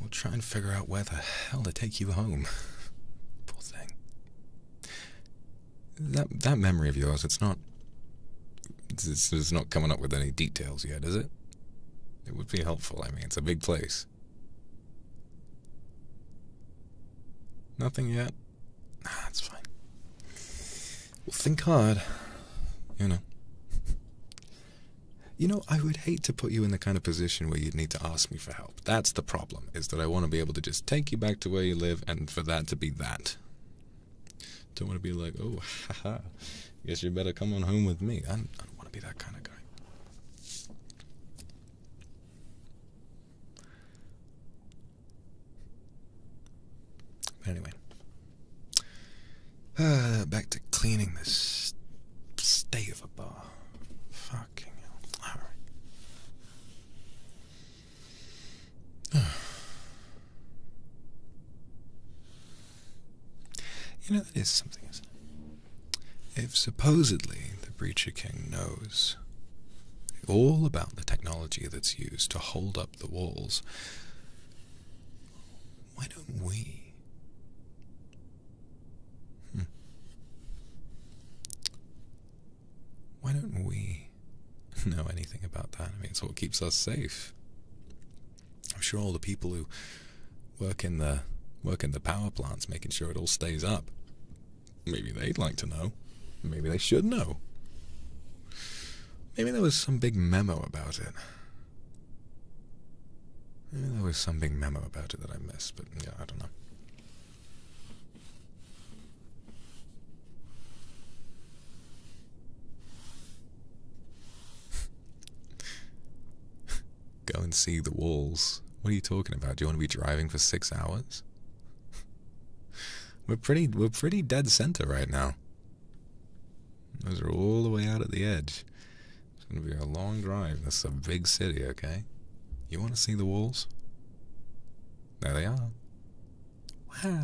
we'll try and figure out where the hell to take you home. Poor thing. That that memory of yours, it's not. it's not coming up with any details yet, is it? It would be helpful. I mean, it's a big place. Nothing yet. Nah, it's fine. Well, think hard. You know. you know, I would hate to put you in the kind of position where you'd need to ask me for help. That's the problem, is that I want to be able to just take you back to where you live and for that to be that. Don't want to be like, oh, haha, guess you better come on home with me. I don't want to be that kind of guy. Anyway, uh, back to cleaning this state of a bar. Fucking hell. Alright. you know, that is something, If supposedly the Breacher King knows all about the technology that's used to hold up the walls. Why don't we? Hmm. Why don't we know anything about that? I mean, it's what keeps us safe. I'm sure all the people who work in the work in the power plants, making sure it all stays up, Maybe they'd like to know. Maybe they should know. Maybe there was some big memo about it. Maybe there was some big memo about it that I missed, but yeah, I don't know. Go and see the walls. What are you talking about? Do you want to be driving for six hours? we're pretty we're pretty dead center right now. Those are all the way out at the edge. It's gonna be a long drive. This is a big city, okay? You wanna see the walls? There they are. Wow.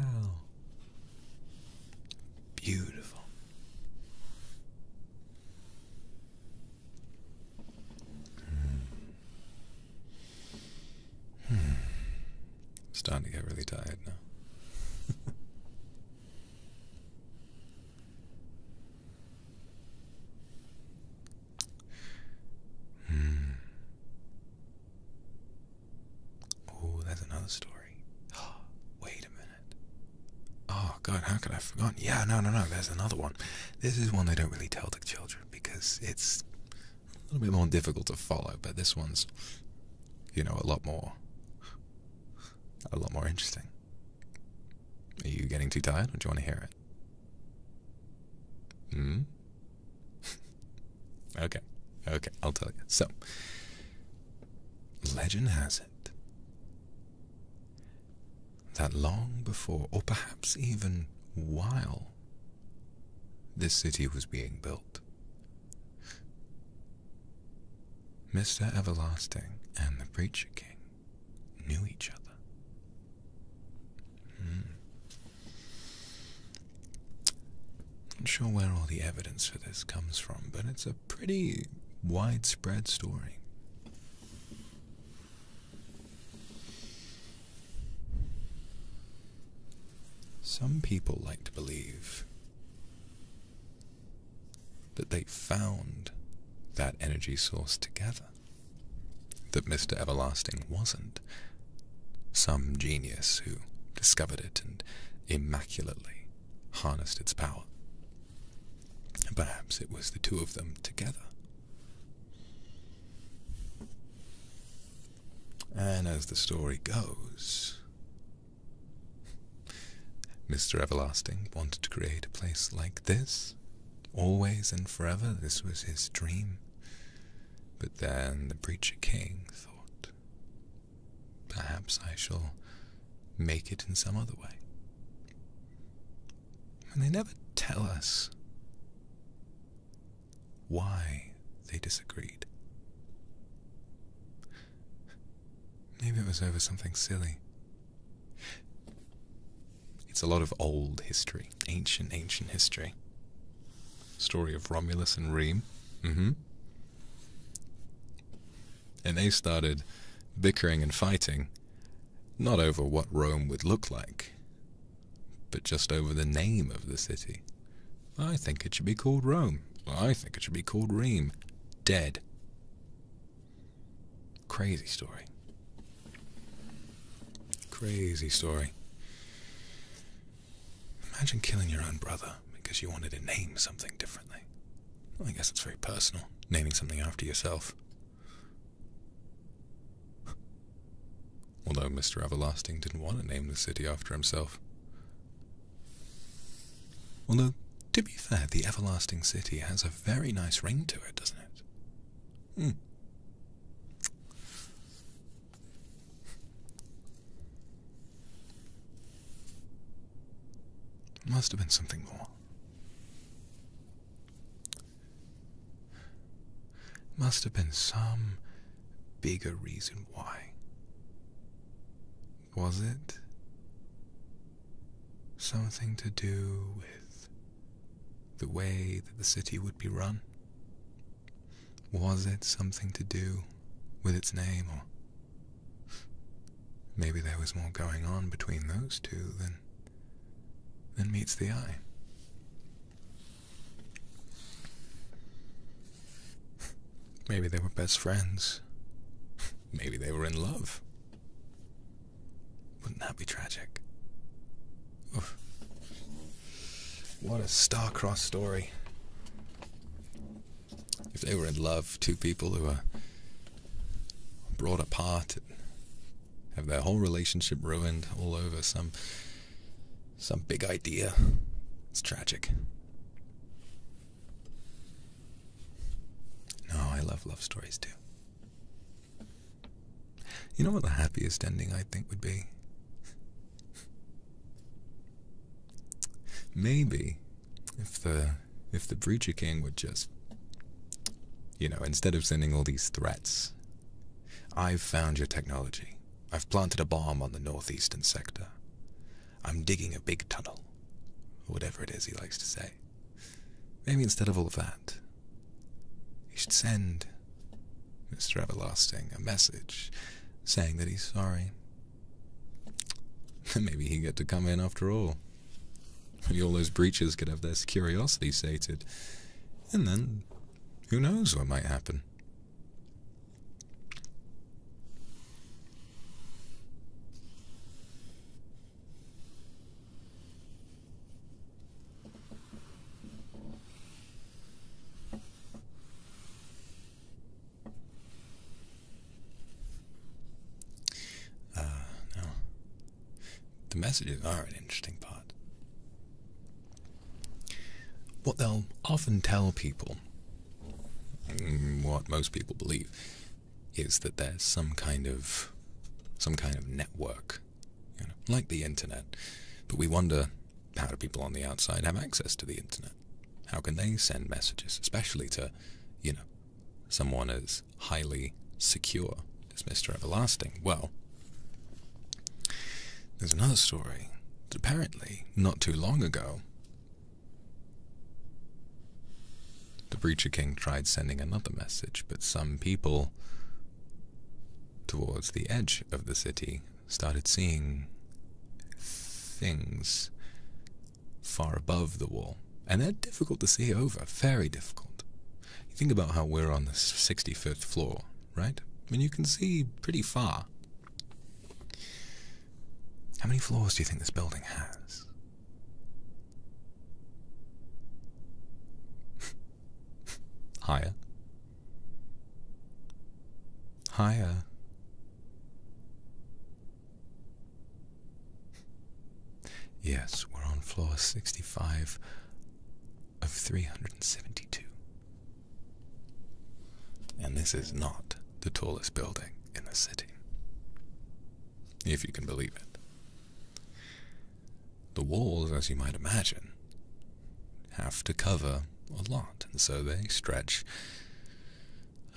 Beautiful. Hmm. Hmm. Starting to get really tired now. hmm. Oh, there's another story. Wait a minute. Oh, God, how could I have forgotten? Yeah, no, no, no, there's another one. This is one they don't really tell the children because it's a little bit more difficult to follow, but this one's, you know, a lot more, a lot more interesting. Are you getting too tired, do you want to hear it? Hmm. okay, okay, I'll tell you. So, legend has it that long before, or perhaps even while this city was being built. Mr. Everlasting and the Preacher King knew each other. Hmm. Not sure where all the evidence for this comes from, but it's a pretty widespread story. Some people like to believe that they found that energy source together, that Mr. Everlasting wasn't some genius who discovered it and immaculately harnessed its power. Perhaps it was the two of them together and as the story goes, Mr. Everlasting wanted to create a place like this, always and forever. This was his dream. But then the Preacher King thought, perhaps I shall make it in some other way. And they never tell us why they disagreed. Maybe it was over something silly. It's a lot of old history, ancient, ancient history. Story of Romulus and Rem, Mm mm-hmm. And they started bickering and fighting, not over what Rome would look like, but just over the name of the city. I think it should be called Rome. I think it should be called Rheem. Dead. Crazy story. Crazy story. Imagine killing your own brother because you wanted to name something differently. I guess it's very personal, naming something after yourself although Mr. Everlasting didn't want to name the city after himself. Although, to be fair, the Everlasting City has a very nice ring to it, doesn't it? Hmm. Must have been something more. Must have been some bigger reason why. Was it something to do with the way that the city would be run? Was it something to do with its name, or maybe there was more going on between those two than than meets the eye? Maybe they were best friends. Maybe they were in love. Wouldn't that be tragic? What a star-crossed story. If they were in love, two people who are brought apart, have their whole relationship ruined all over some some big idea. It's tragic. No, I love love stories too. You know what the happiest ending I think would be? Maybe if the if the Breacher King would just you know, instead of sending all these threats I've found your technology. I've planted a bomb on the northeastern sector. I'm digging a big tunnel. whatever it is he likes to say. Maybe instead of all that, he should send Mr. Everlasting a message saying that he's sorry. Maybe he'd get to come in after all. Maybe all those breaches could have their curiosity sated. And then, who knows what might happen. Uh, no. The messages are an interesting part. What they'll often tell people, mm, what most people believe, is that there's some kind of some kind of network, you know, like the internet. But we wonder how do people on the outside have access to the internet? How can they send messages, especially to, you know, someone as highly secure as Mr. Everlasting? Well, there's another story that apparently, not too long ago, the Breacher King tried sending another message, but some people towards the edge of the city started seeing things far above the wall. And they're difficult to see over, very difficult. You think about how we're on the 65th floor right? I mean, you can see pretty far. How many floors do you think this building has? Higher. Higher. Yes, we're on floor 65 of 372. And this is not the tallest building in the city, if you can believe it. The walls, as you might imagine, have to cover a lot, and so they stretch,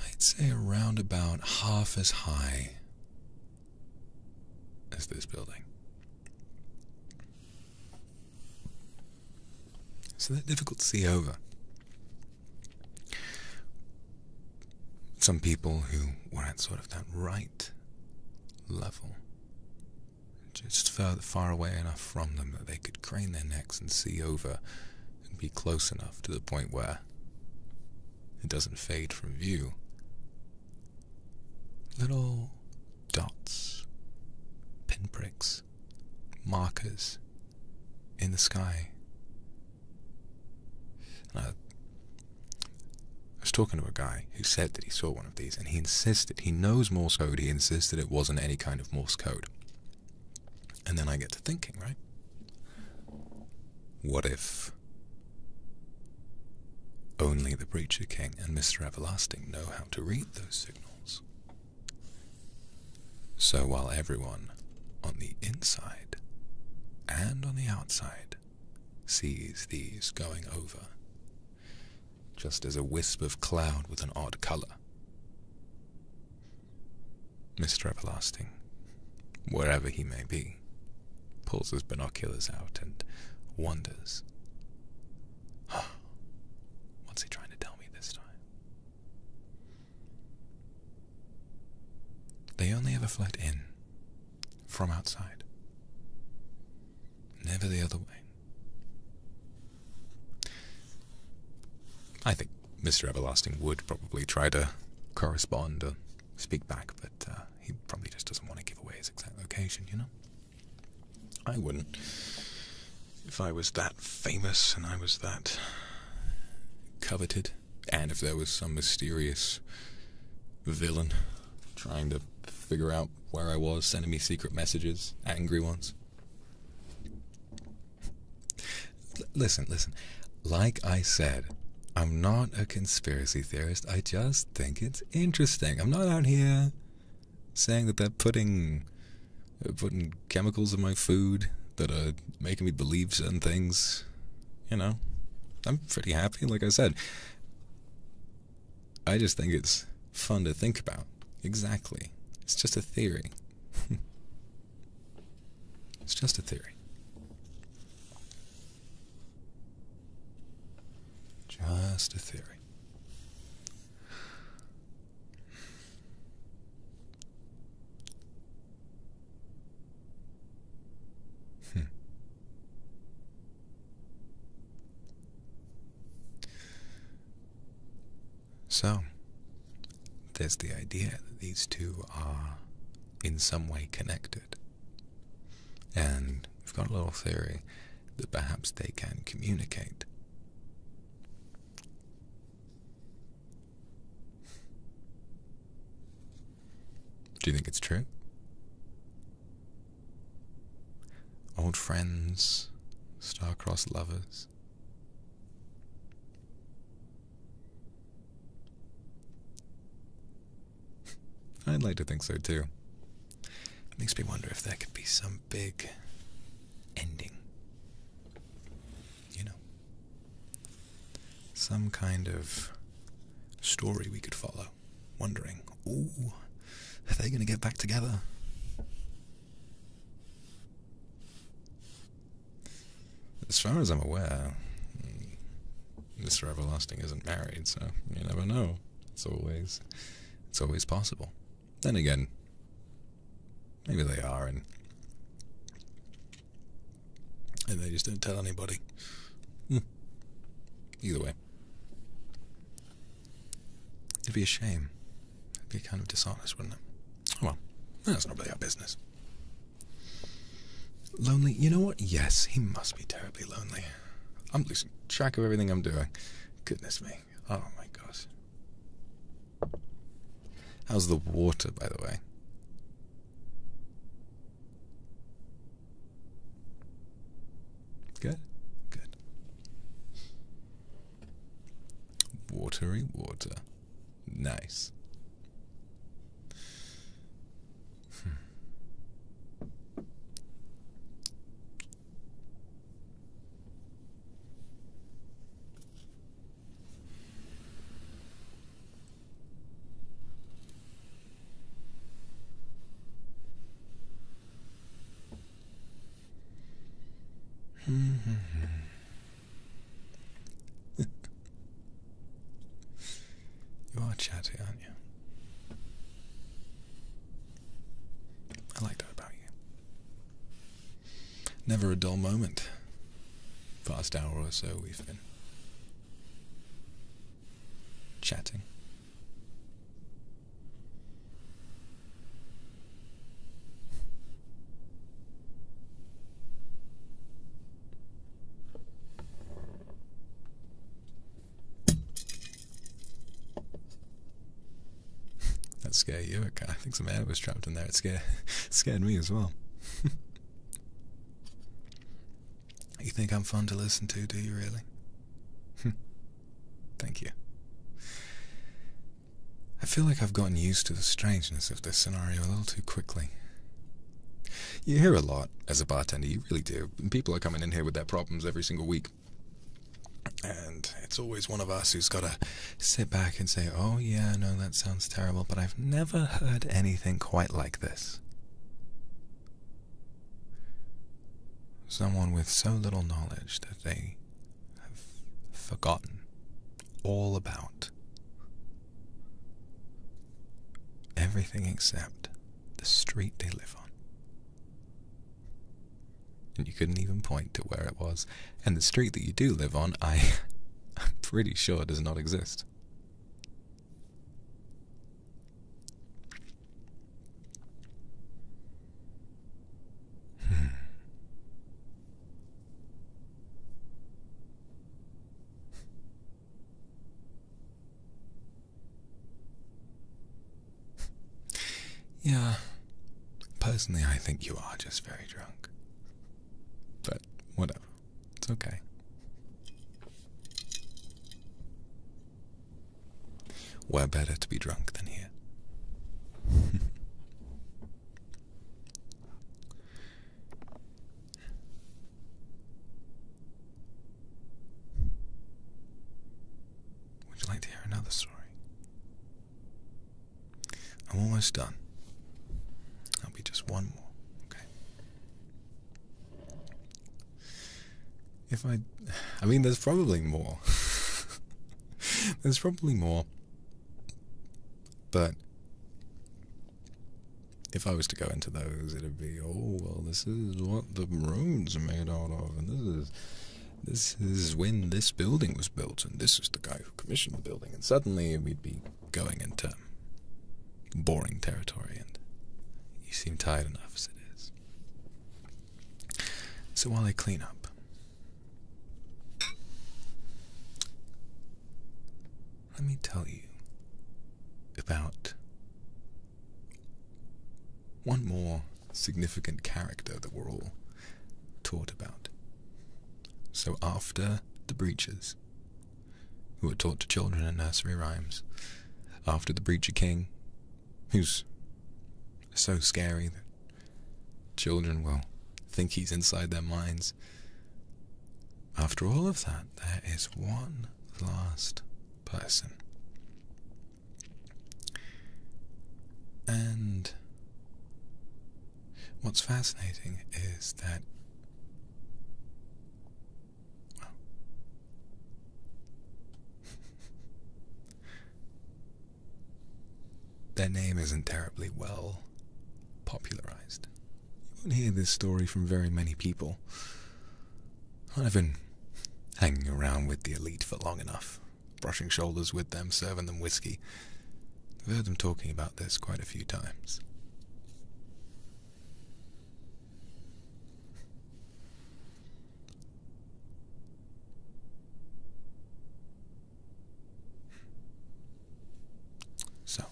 I'd say, around about half as high as this building. So they're difficult to see over. Some people who were at sort of that right level, just far away enough from them that they could crane their necks and see over and be close enough to the point where it doesn't fade from view. Little dots, pinpricks markers in the sky. I, was talking to a guy who said that he saw one of these, and he insisted, he knows Morse code, he insists that it wasn't any kind of Morse code. And then I get to thinking, right? What if only the Preacher King and Mr. Everlasting know how to read those signals? So while everyone on the inside and on the outside sees these going over, just as a wisp of cloud with an odd color, Mr. Everlasting, wherever he may be, pulls his binoculars out and wonders. What's he trying to tell me this time? They only ever fled in, from outside, never the other way. I think Mr. Everlasting would probably try to correspond or speak back, but uh, he probably just doesn't want to give away his exact location, you know? I wouldn't. If I was that famous and I was that coveted, and if there was some mysterious villain trying to figure out where I was, sending me secret messages, angry ones. listen, listen. Like I said, I'm not a conspiracy theorist. I just think it's interesting. I'm not out here saying that they're putting uh, putting chemicals in my food that are making me believe certain things. You know, I'm pretty happy, like I said. I just think it's fun to think about. Exactly. It's just a theory. it's just a theory. Just a theory. Hmm. So, there's the idea that these two are in some way connected. And we've got a little theory that perhaps they can communicate. Do you think it's true? Old friends, star-crossed lovers. I'd like to think so too. It makes me wonder if there could be some big ending. You know, some kind of story we could follow, wondering, ooh, are they going to get back together? As far as I'm aware, Mr. Mm, Everlasting isn't married, so you never know. It's always, it's always possible. Then again, maybe they are, and and they just don't tell anybody. Hmm. Either way, it'd be a shame. It'd be kind of dishonest, wouldn't it? Oh well, that's not really our business. Lonely, you know what? Yes, he must be terribly lonely. I'm losing track of everything I'm doing. Goodness me. Oh my gosh. How's the water, by the way? Good? Good. Watery water. Nice. Hmm you are chatty, aren't you? I like that about you. Never a dull moment. Past hour or so we've been chatting that scared you? I think some man was trapped in there. It scared, it scared me as well. you think I'm fun to listen to, do you really? Thank you. I feel like I've gotten used to the strangeness of this scenario a little too quickly. You hear a lot as a bartender, you really do. People are coming in here with their problems every single week. And it's always one of us who's got to sit back and say, oh, yeah, no, that sounds terrible, but I've never heard anything quite like this. Someone with so little knowledge that they have forgotten all about everything except the street they live on and you couldn't even point to where it was. And the street that you do live on, I, I'm pretty sure does not exist. Hmm. yeah, Personally, I think you are just very drunk. But whatever, it's okay. We're better to be drunk than here. Would you like to hear another story? I'm almost done. i will be just one more, okay? If I. I mean, there's probably more. there's probably more. But. If I was to go into those, it'd be, oh, well, this is what the road's made out of, and this is this is when this building was built, and this is the guy who commissioned the building, and suddenly we'd be going into boring territory, and you seem tired enough as it is. So while I clean up, let me tell you about one more significant character that we're all taught about. So after the breaches, who are taught to children in nursery rhymes, after the breacher king, who's so scary that children will think he's inside their minds. After all of that, there is one last person. And What's fascinating is that their name isn't terribly well popularized. You won't hear this story from very many people. I've been hanging around with the elite for long enough brushing shoulders with them, serving them whiskey. I've heard them talking about this quite a few times. So,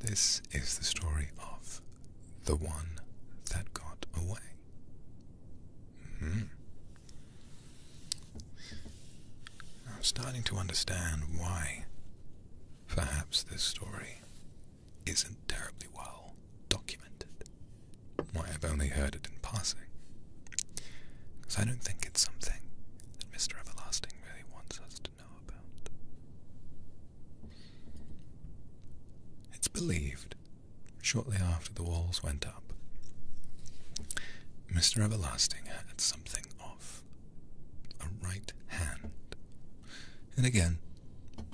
this is the story of the one that got away. -hmm. I'm starting to understand why perhaps this story isn't terribly well documented. Why I've only heard it in passing. Because I don't think it's something that Mr. Everlasting really wants us to know about. It's believed Shortly after the walls went up, Mr. Everlasting had something of a right hand. And again,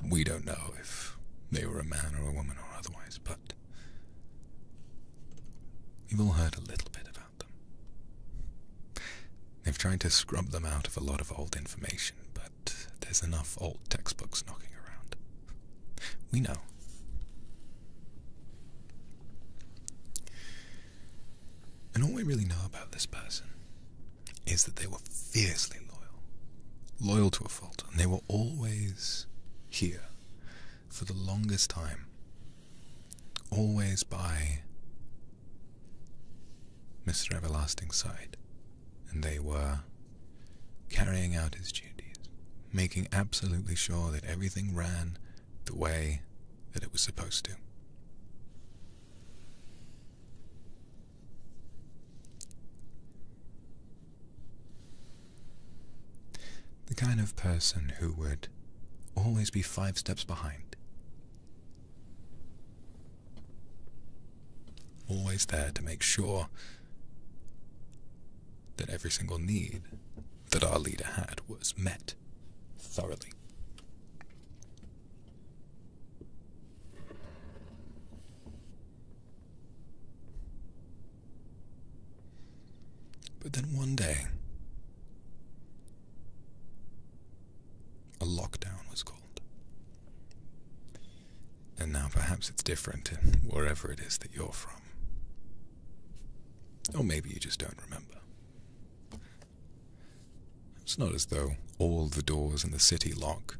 we don't know if they were a man or a woman or otherwise, but we've all heard a little bit about them. They've tried to scrub them out of a lot of old information, but there's enough old textbooks knocking around we know. And all we really know about this person is that they were fiercely loyal, loyal to a fault, and they were always here for the longest time, always by Mr. Everlasting's side, and they were carrying out his duties, making absolutely sure that everything ran the way that it was supposed to. The kind of person who would always be five steps behind. Always there to make sure that every single need that our leader had was met thoroughly. But then one day, a lockdown was called. And now perhaps it's different wherever it is that you're from. Or oh, maybe you just don't remember. It's not as though all the doors in the city lock.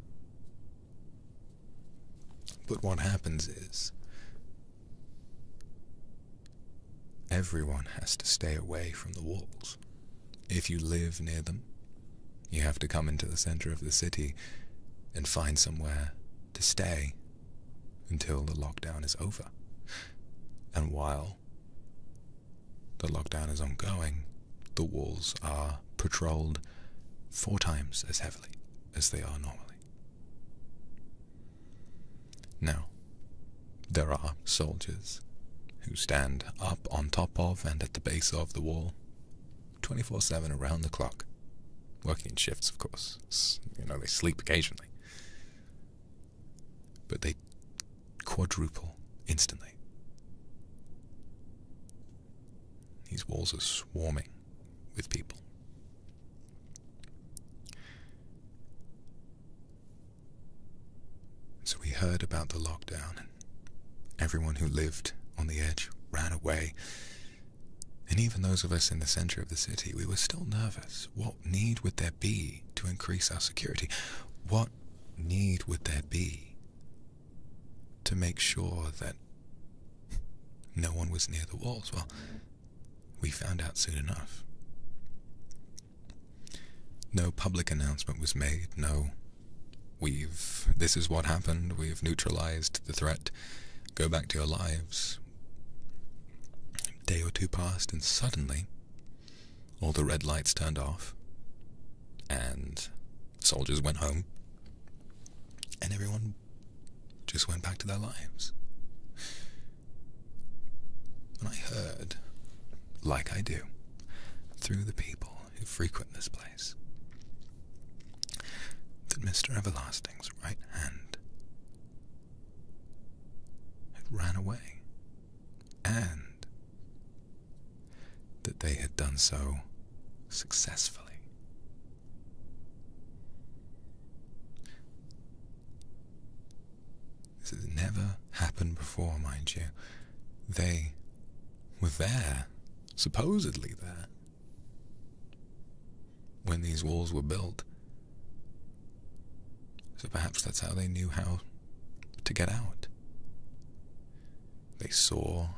But what happens is. Everyone has to stay away from the walls. If you live near them, you have to come into the center of the city and find somewhere to stay until the lockdown is over. And while the lockdown is ongoing, the walls are patrolled four times as heavily as they are normally. Now, there are soldiers who stand up on top of and at the base of the wall 24 7 around the clock, working in shifts, of course. you know, they sleep occasionally. But they quadruple instantly. These walls are swarming with people. So we heard about the lockdown, everyone who lived on the edge ran away and even those of us in the center of the city, we were still nervous. What need would there be to increase our security? What need would there be to make sure that no one was near the walls? Well, we found out soon enough. No public announcement was made, no, we've, this is what happened, we've neutralized the threat, go back to your lives, a day or two passed, and suddenly all the red lights turned off, and soldiers went home, and everyone just went back to their lives. When I heard, like I do, through the people who frequent this place, that Mr. Everlasting's right hand had ran away, and that they had done so successfully. This has never happened before, mind you. They were there, supposedly there, when these walls were built. So perhaps that's how they knew how to get out. They saw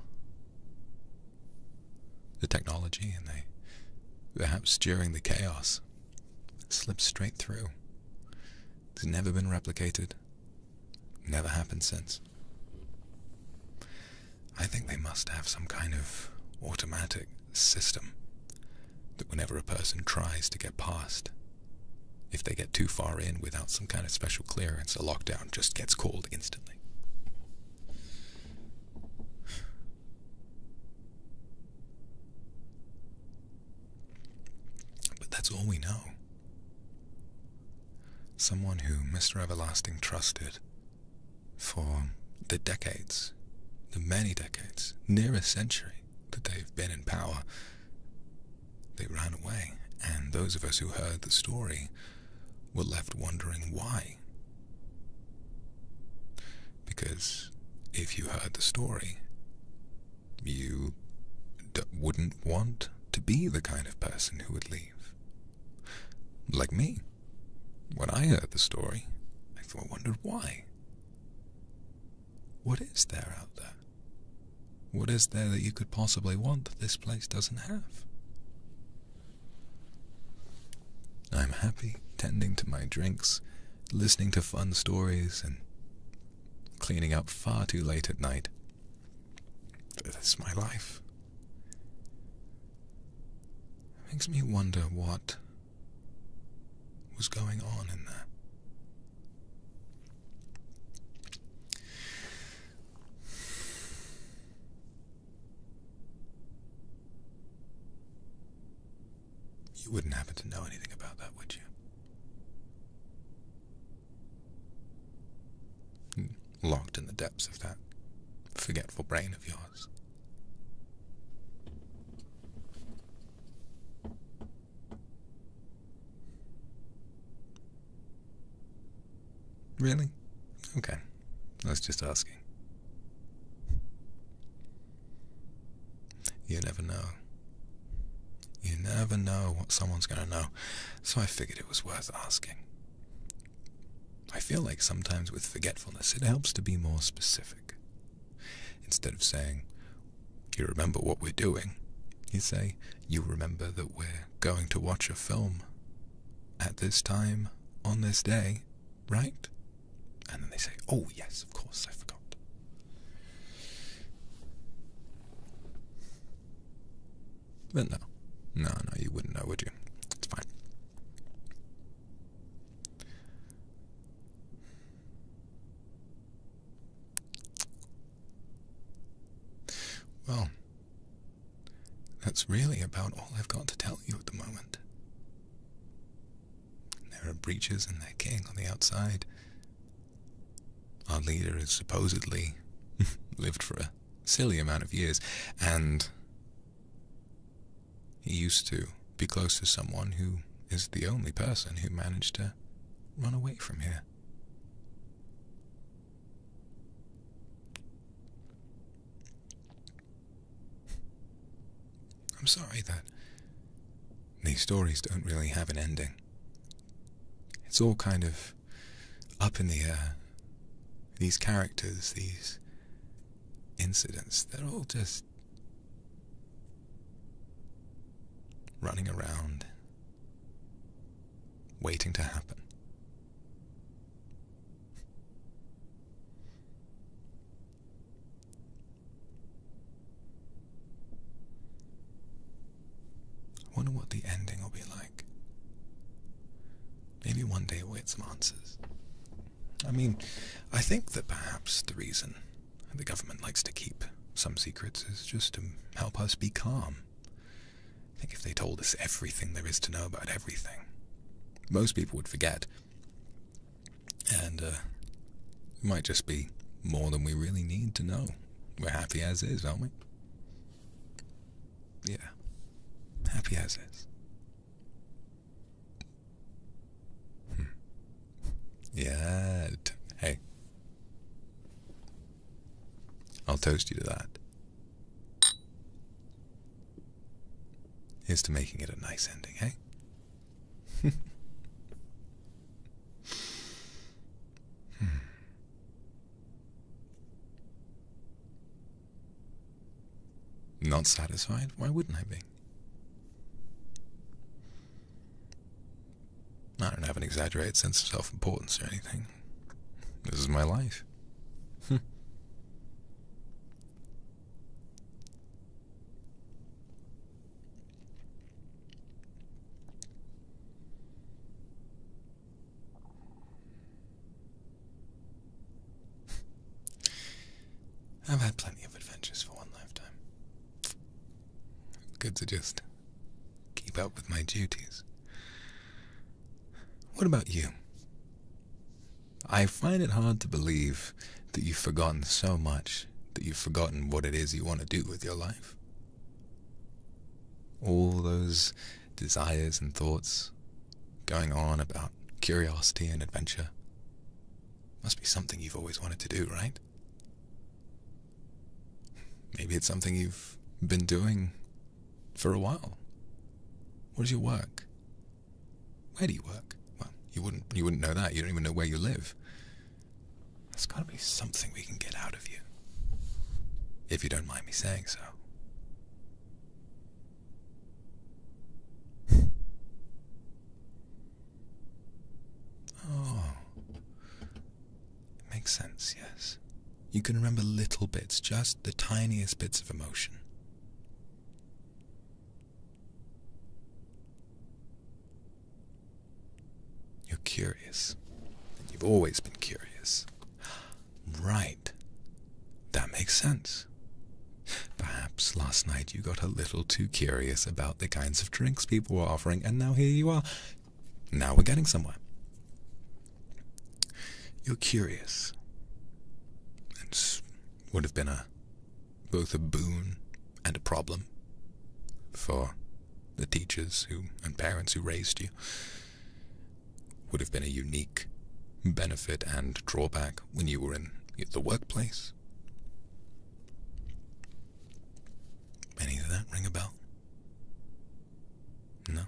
the technology and they, perhaps during the chaos, slipped straight through. It's never been replicated, never happened since. I think they must have some kind of automatic system that whenever a person tries to get past, if they get too far in without some kind of special clearance, a lockdown just gets called instantly. But that's all we know. Someone who Mr. Everlasting trusted for the decades, the many decades, near a century that they've been in power, they ran away, and those of us who heard the story were left wondering why. Because if you heard the story, you wouldn't want to be the kind of person who would leave. Like me. When I heard the story, I thought, wondered why. What is there out there? What is there that you could possibly want that this place doesn't have? I'm happy tending to my drinks, listening to fun stories, and cleaning up far too late at night. That's my life. It makes me wonder what was going on in there. You wouldn't happen to know anything about that, would you? Locked in the depths of that forgetful brain of yours. Really? Okay. I was just asking. You never know. You never know what someone's going to know, so I figured it was worth asking. I feel like sometimes with forgetfulness it helps to be more specific. Instead of saying, You remember what we're doing, you say, You remember that we're going to watch a film at this time on this day, right? And then they say, Oh, yes, of course, I forgot. But no, no, no, you wouldn't know, would you? It's fine. Well, that's really about all I've got to tell you at the moment. There are breaches in their king on the outside. Our leader has supposedly lived for a silly amount of years, and he used to be close to someone who is the only person who managed to run away from here. I'm sorry that these stories don't really have an ending. It's all kind of up in the air. These characters, these incidents, they're all just running around, waiting to happen. I wonder what the ending will be like. Maybe one day we'll get some answers. I mean, I think that perhaps the reason the government likes to keep some secrets is just to help us be calm. I think if they told us everything there is to know about everything, most people would forget. And, uh, it might just be more than we really need to know. We're happy as is, aren't we? Yeah. Happy as is yeah. Hey. I'll toast you to that. Here's to making it a nice ending, hey? Hmm. Not satisfied? Why wouldn't I be? I don't have an exaggerated sense of self importance or anything. This is my life. I've had plenty of adventures for one lifetime. Good to just keep up with my duties. What about you? I find it hard to believe that you've forgotten so much that you've forgotten what it is you want to do with your life. All those desires and thoughts going on about curiosity and adventure. Must be something you've always wanted to do, right? Maybe it's something you've been doing for a while. What is your work? Where do you work? Well, you wouldn't you wouldn't know that. You don't even know where you live. There's gotta be something we can get out of you. If you don't mind me saying so. Oh. It makes sense, yes. You can remember little bits, just the tiniest bits of emotion. You're curious, and you've always been curious. Right. That makes sense. Perhaps last night you got a little too curious about the kinds of drinks people were offering, and now here you are. Now we're getting somewhere. You're curious. It would have been a both a boon and a problem for the teachers who and parents who raised you. Would have been a unique benefit and drawback when you were in the workplace. Any of that ring a bell? No.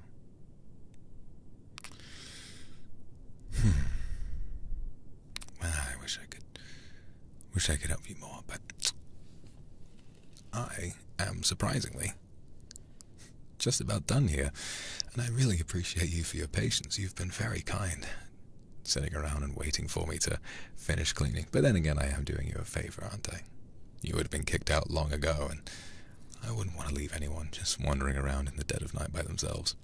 Hmm. Well, I wish I could wish I could help you more, but I am surprisingly just about done here, and I really appreciate you for your patience. You've been very kind sitting around and waiting for me to finish cleaning. But then again, I am doing you a favor, aren't I? You would have been kicked out long ago, and I wouldn't want to leave anyone just wandering around in the dead of night by themselves.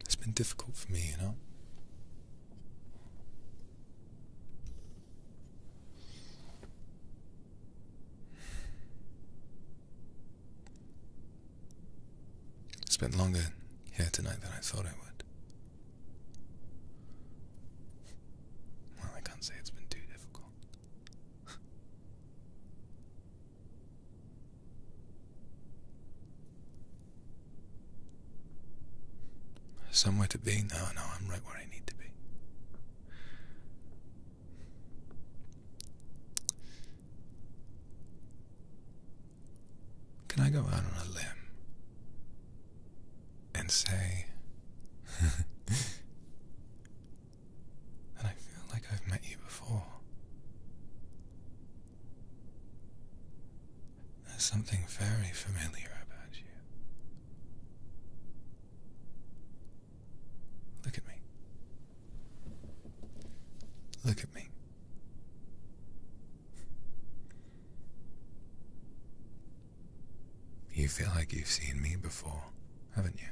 It's been difficult for me, you know. spent longer here tonight than I thought I would. Well, I can't say it's been too difficult. Somewhere to be? No, no, I'm right where I need to be. Can I go out on a limb and say and I feel like I've met you before. There's something very familiar about you. Look at me. Look at me. You feel like you've seen me before haven't you?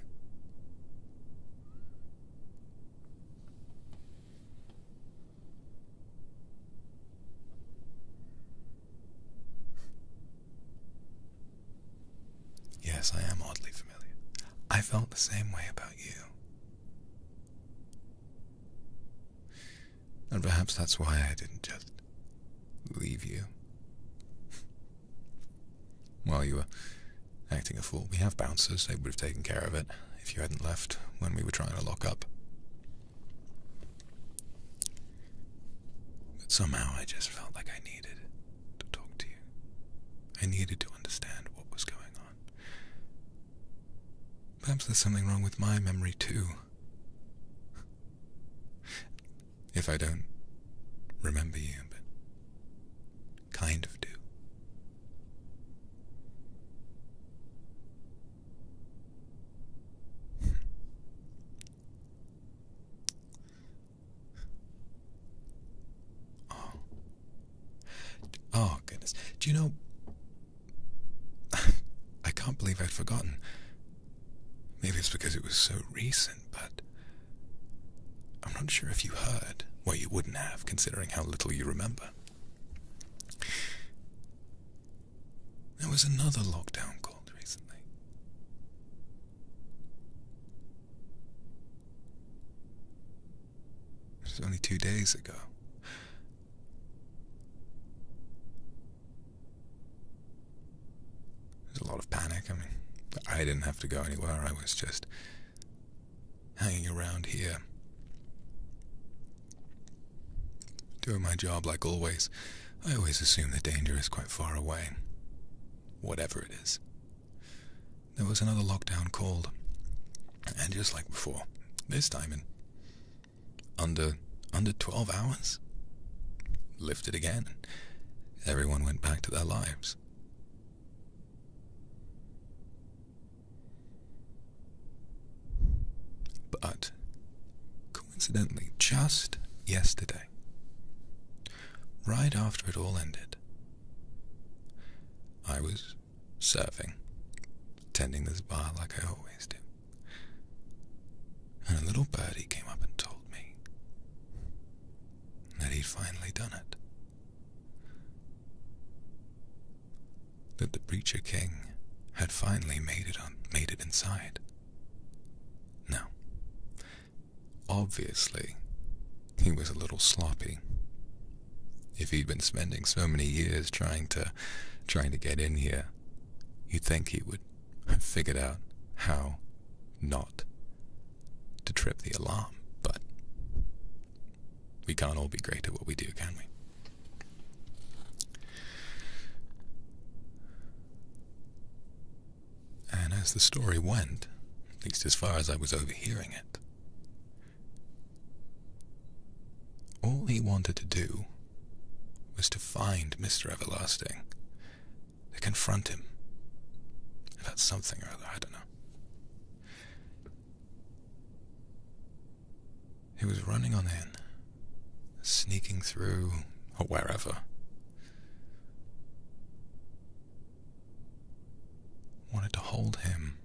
Yes, I am oddly familiar. I felt the same way about you. And perhaps that's why I didn't just leave you. While you were acting a fool, we have bouncers. They would have taken care of it if you hadn't left when we were trying to lock up. But somehow I just felt like I needed to talk to you. I needed to understand what was going on. Perhaps there's something wrong with my memory too. If I don't remember you, kind of do. Hmm. oh. oh, goodness. Do you know? I can't believe I'd forgotten. Maybe it's because it was so recent but I'm not sure if you heard. Well, you wouldn't have, considering how little you remember. There was another lockdown called recently. It was only two days ago. There's a lot of panic. I mean, I didn't have to go anywhere. I was just hanging around here. Doing my job like always, I always assume the danger is quite far away. Whatever it is. There was another lockdown called, and just like before, this time in under under 12 hours, lifted again. Everyone went back to their lives. But, coincidentally, just yesterday, right after it all ended, I was serving, tending this bar like I always do, and a little birdie came up and told me that he'd finally done it that the preacher King had finally made it made it inside. Now, obviously, he was a little sloppy. If he'd been spending so many years trying to trying to get in here, you'd think he would have figured out how not to trip the alarm, but we can't all be great at what we do, can we? And as the story went, at least as far as I was overhearing it, all he wanted to do was to find Mr. Everlasting, to confront him about something or other, I don't know. He was running on in, sneaking through or wherever. Wanted to hold him,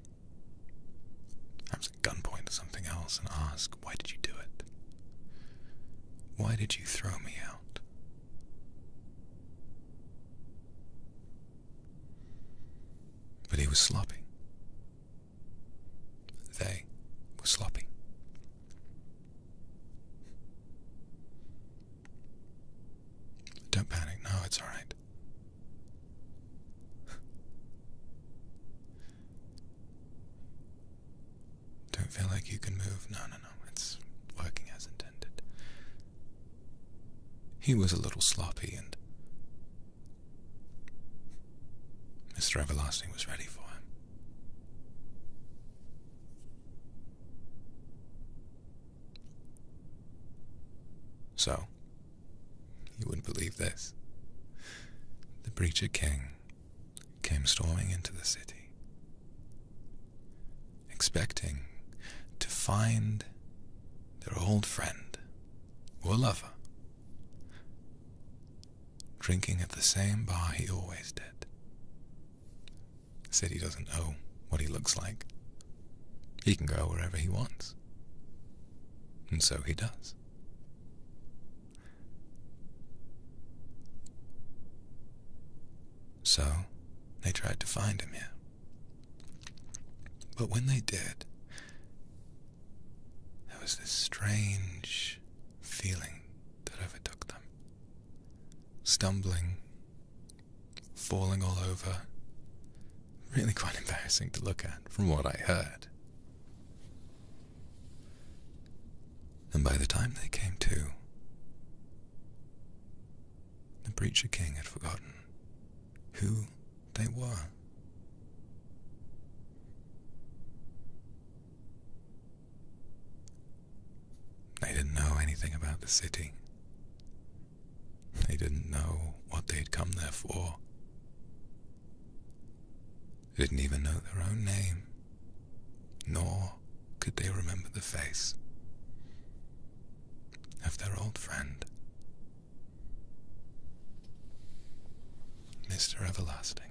perhaps at gunpoint or something else, and ask, Why did you do it? Why did you throw me out? But he was sloppy. They were sloppy. Don't panic. No, it's all right. Don't feel like you can move. No, no, no. It's working as intended. He was a little sloppy, and Mr. Everlasting was ready for him. So, you wouldn't believe this. The preacher King came storming into the city expecting to find their old friend or lover drinking at the same bar he always did. Said he doesn't know what he looks like. He can go wherever he wants. And so he does. So, they tried to find him here. But when they did, there was this strange feeling that overtook them. Stumbling, falling all over, really quite embarrassing to look at, from what I heard. And by the time they came to, the preacher king had forgotten who they were. They didn't know anything about the city. They didn't know what they'd come there for. They didn't even know their own name, nor could they remember the face of their old friend Mr. Everlasting.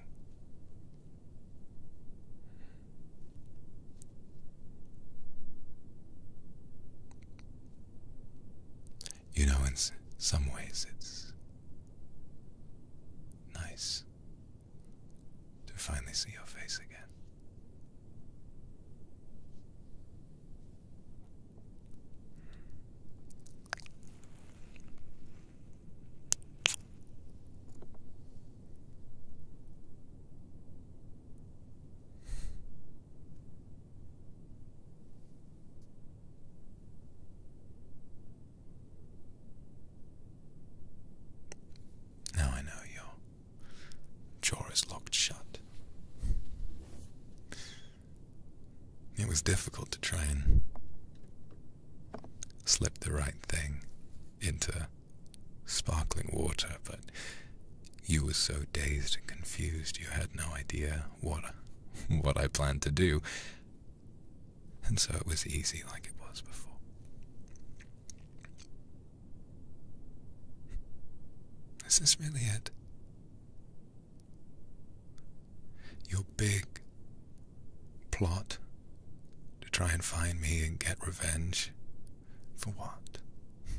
You know, in some ways, it's nice to finally see your face again. Now I know your jaw is locked shut. It was difficult to try and slip the right thing into sparkling water, but you were so dazed and confused you had no idea what what I planned to do. And so it was easy like it was before. Is this really it? Your big plot to try and find me and get revenge for what?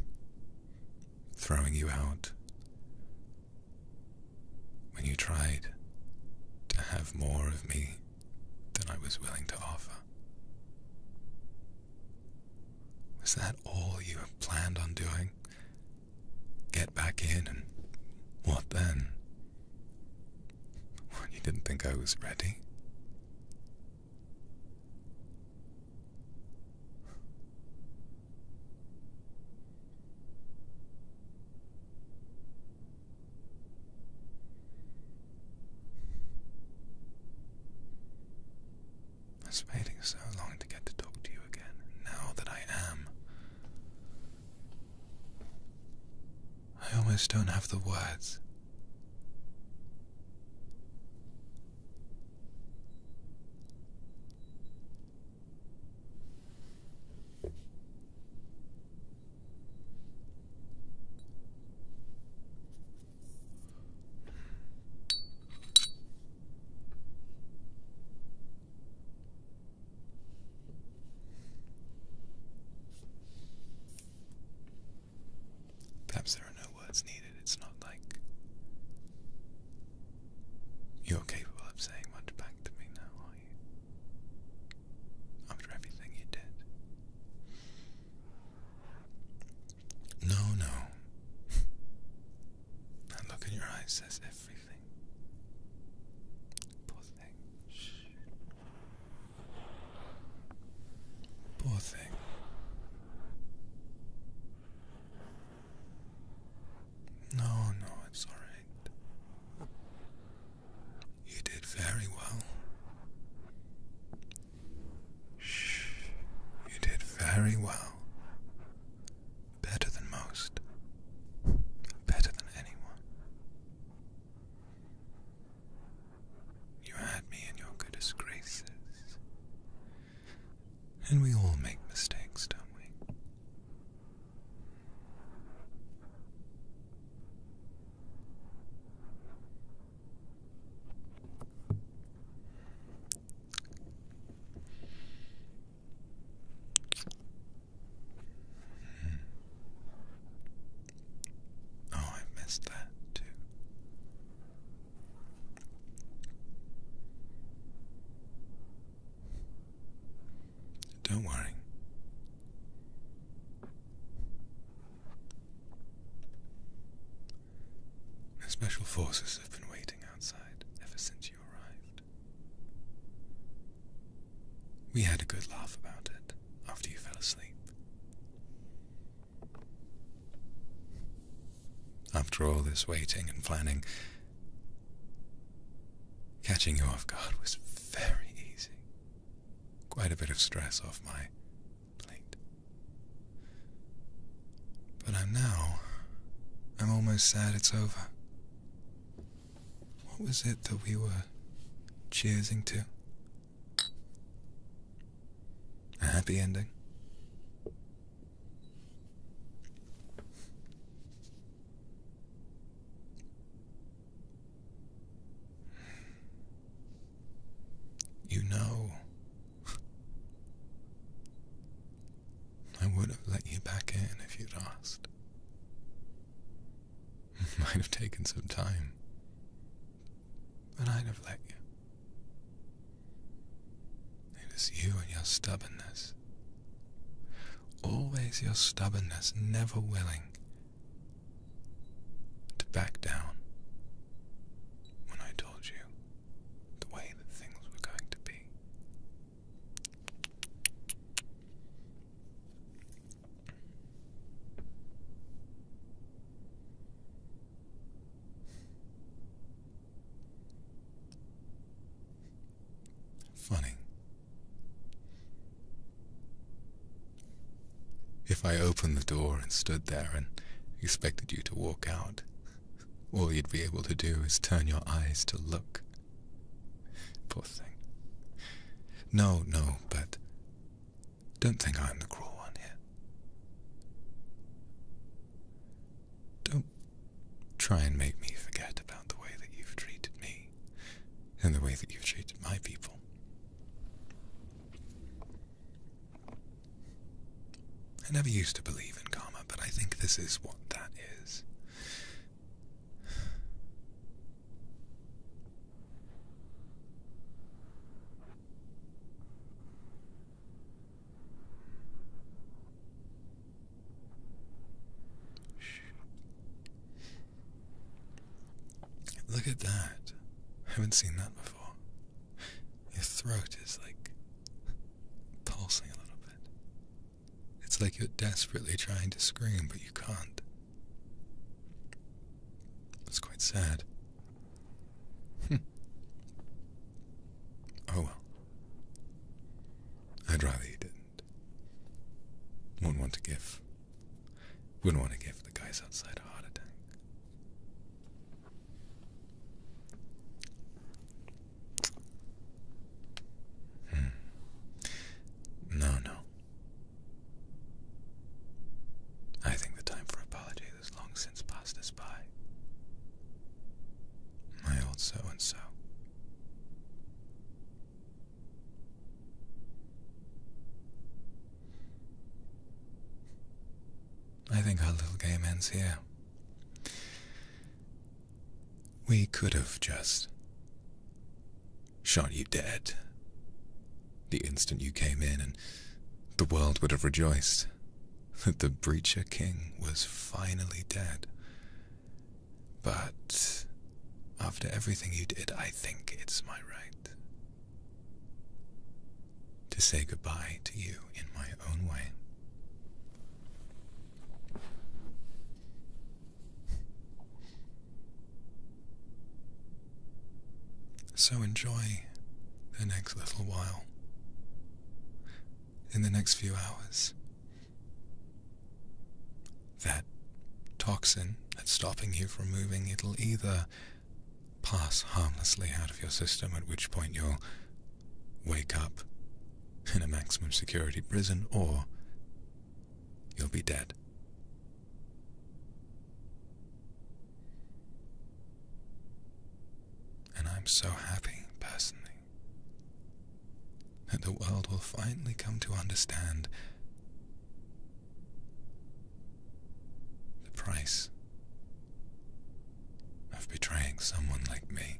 Throwing you out when you tried to have more of me than I was willing to offer. Was that all you had planned on doing? get back in, and what then? Well, you didn't think I was ready? I was waiting so long to get to talk to you again. Now that I am, I almost don't have the words. Perhaps there are no words needed. It's not like you're capable of saying much back to me now, are you? After everything you did. No, no. That look in your eyes says everything. Poor thing. Shh. Poor thing. No, no, it's alright. You did very well. Shh, you did very well better than most, better than anyone. You had me in your goodest graces. And we all make mistakes, don't we? Oh, I missed that too. Don't worry. The Special Forces have been waiting outside ever since we had a good laugh about it after you fell asleep. After all this waiting and planning, catching you off guard was very easy. Quite a bit of stress off my plate. But I'm now. I'm almost sad it's over. What was it that we were cheering to? A happy ending? You know. I would have let you back in if you'd asked. It might have taken some time, but I'd have let you. It was you and your stubbornness. Always your stubbornness, never willing to back down when I told you the way that things were going to be. Funny. If I opened the door and stood there and expected you to walk out, all you'd be able to do is turn your eyes to look. Poor thing. No, no, but don't think I'm the cruel one here. Don't try and make me forget about the way that you've treated me and the way that you've treated my people. I never used to believe in karma, but I think this is what that is is. Look at that. I haven't seen that before. Your throat is like pulsing a little bit. It's like you're desperately trying to scream, but you can't. It's quite sad. Hmm. Oh well. I'd rather you didn't. Wouldn't want to give. Wouldn't want to give the guys outside a heart attack. Hmm. No, no. I think the time for apologies is long since passed us by. My old so and so. I think our little game ends here. We could have just shot you dead the instant you came in, and the world would have rejoiced that the Breacher King was finally dead. But after everything you did, I think it's my right to say goodbye to you in my own way. So enjoy the next little while, in the next few hours. That toxin that's stopping you from moving, it'll either pass harmlessly out of your system, at which point you'll wake up in a maximum security prison, or you'll be dead. And I'm so happy, personally, that the world will finally come to understand the price of betraying someone like me.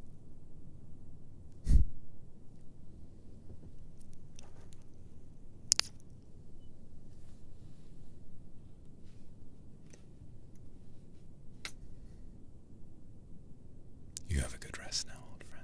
You have a good rest now, old friend.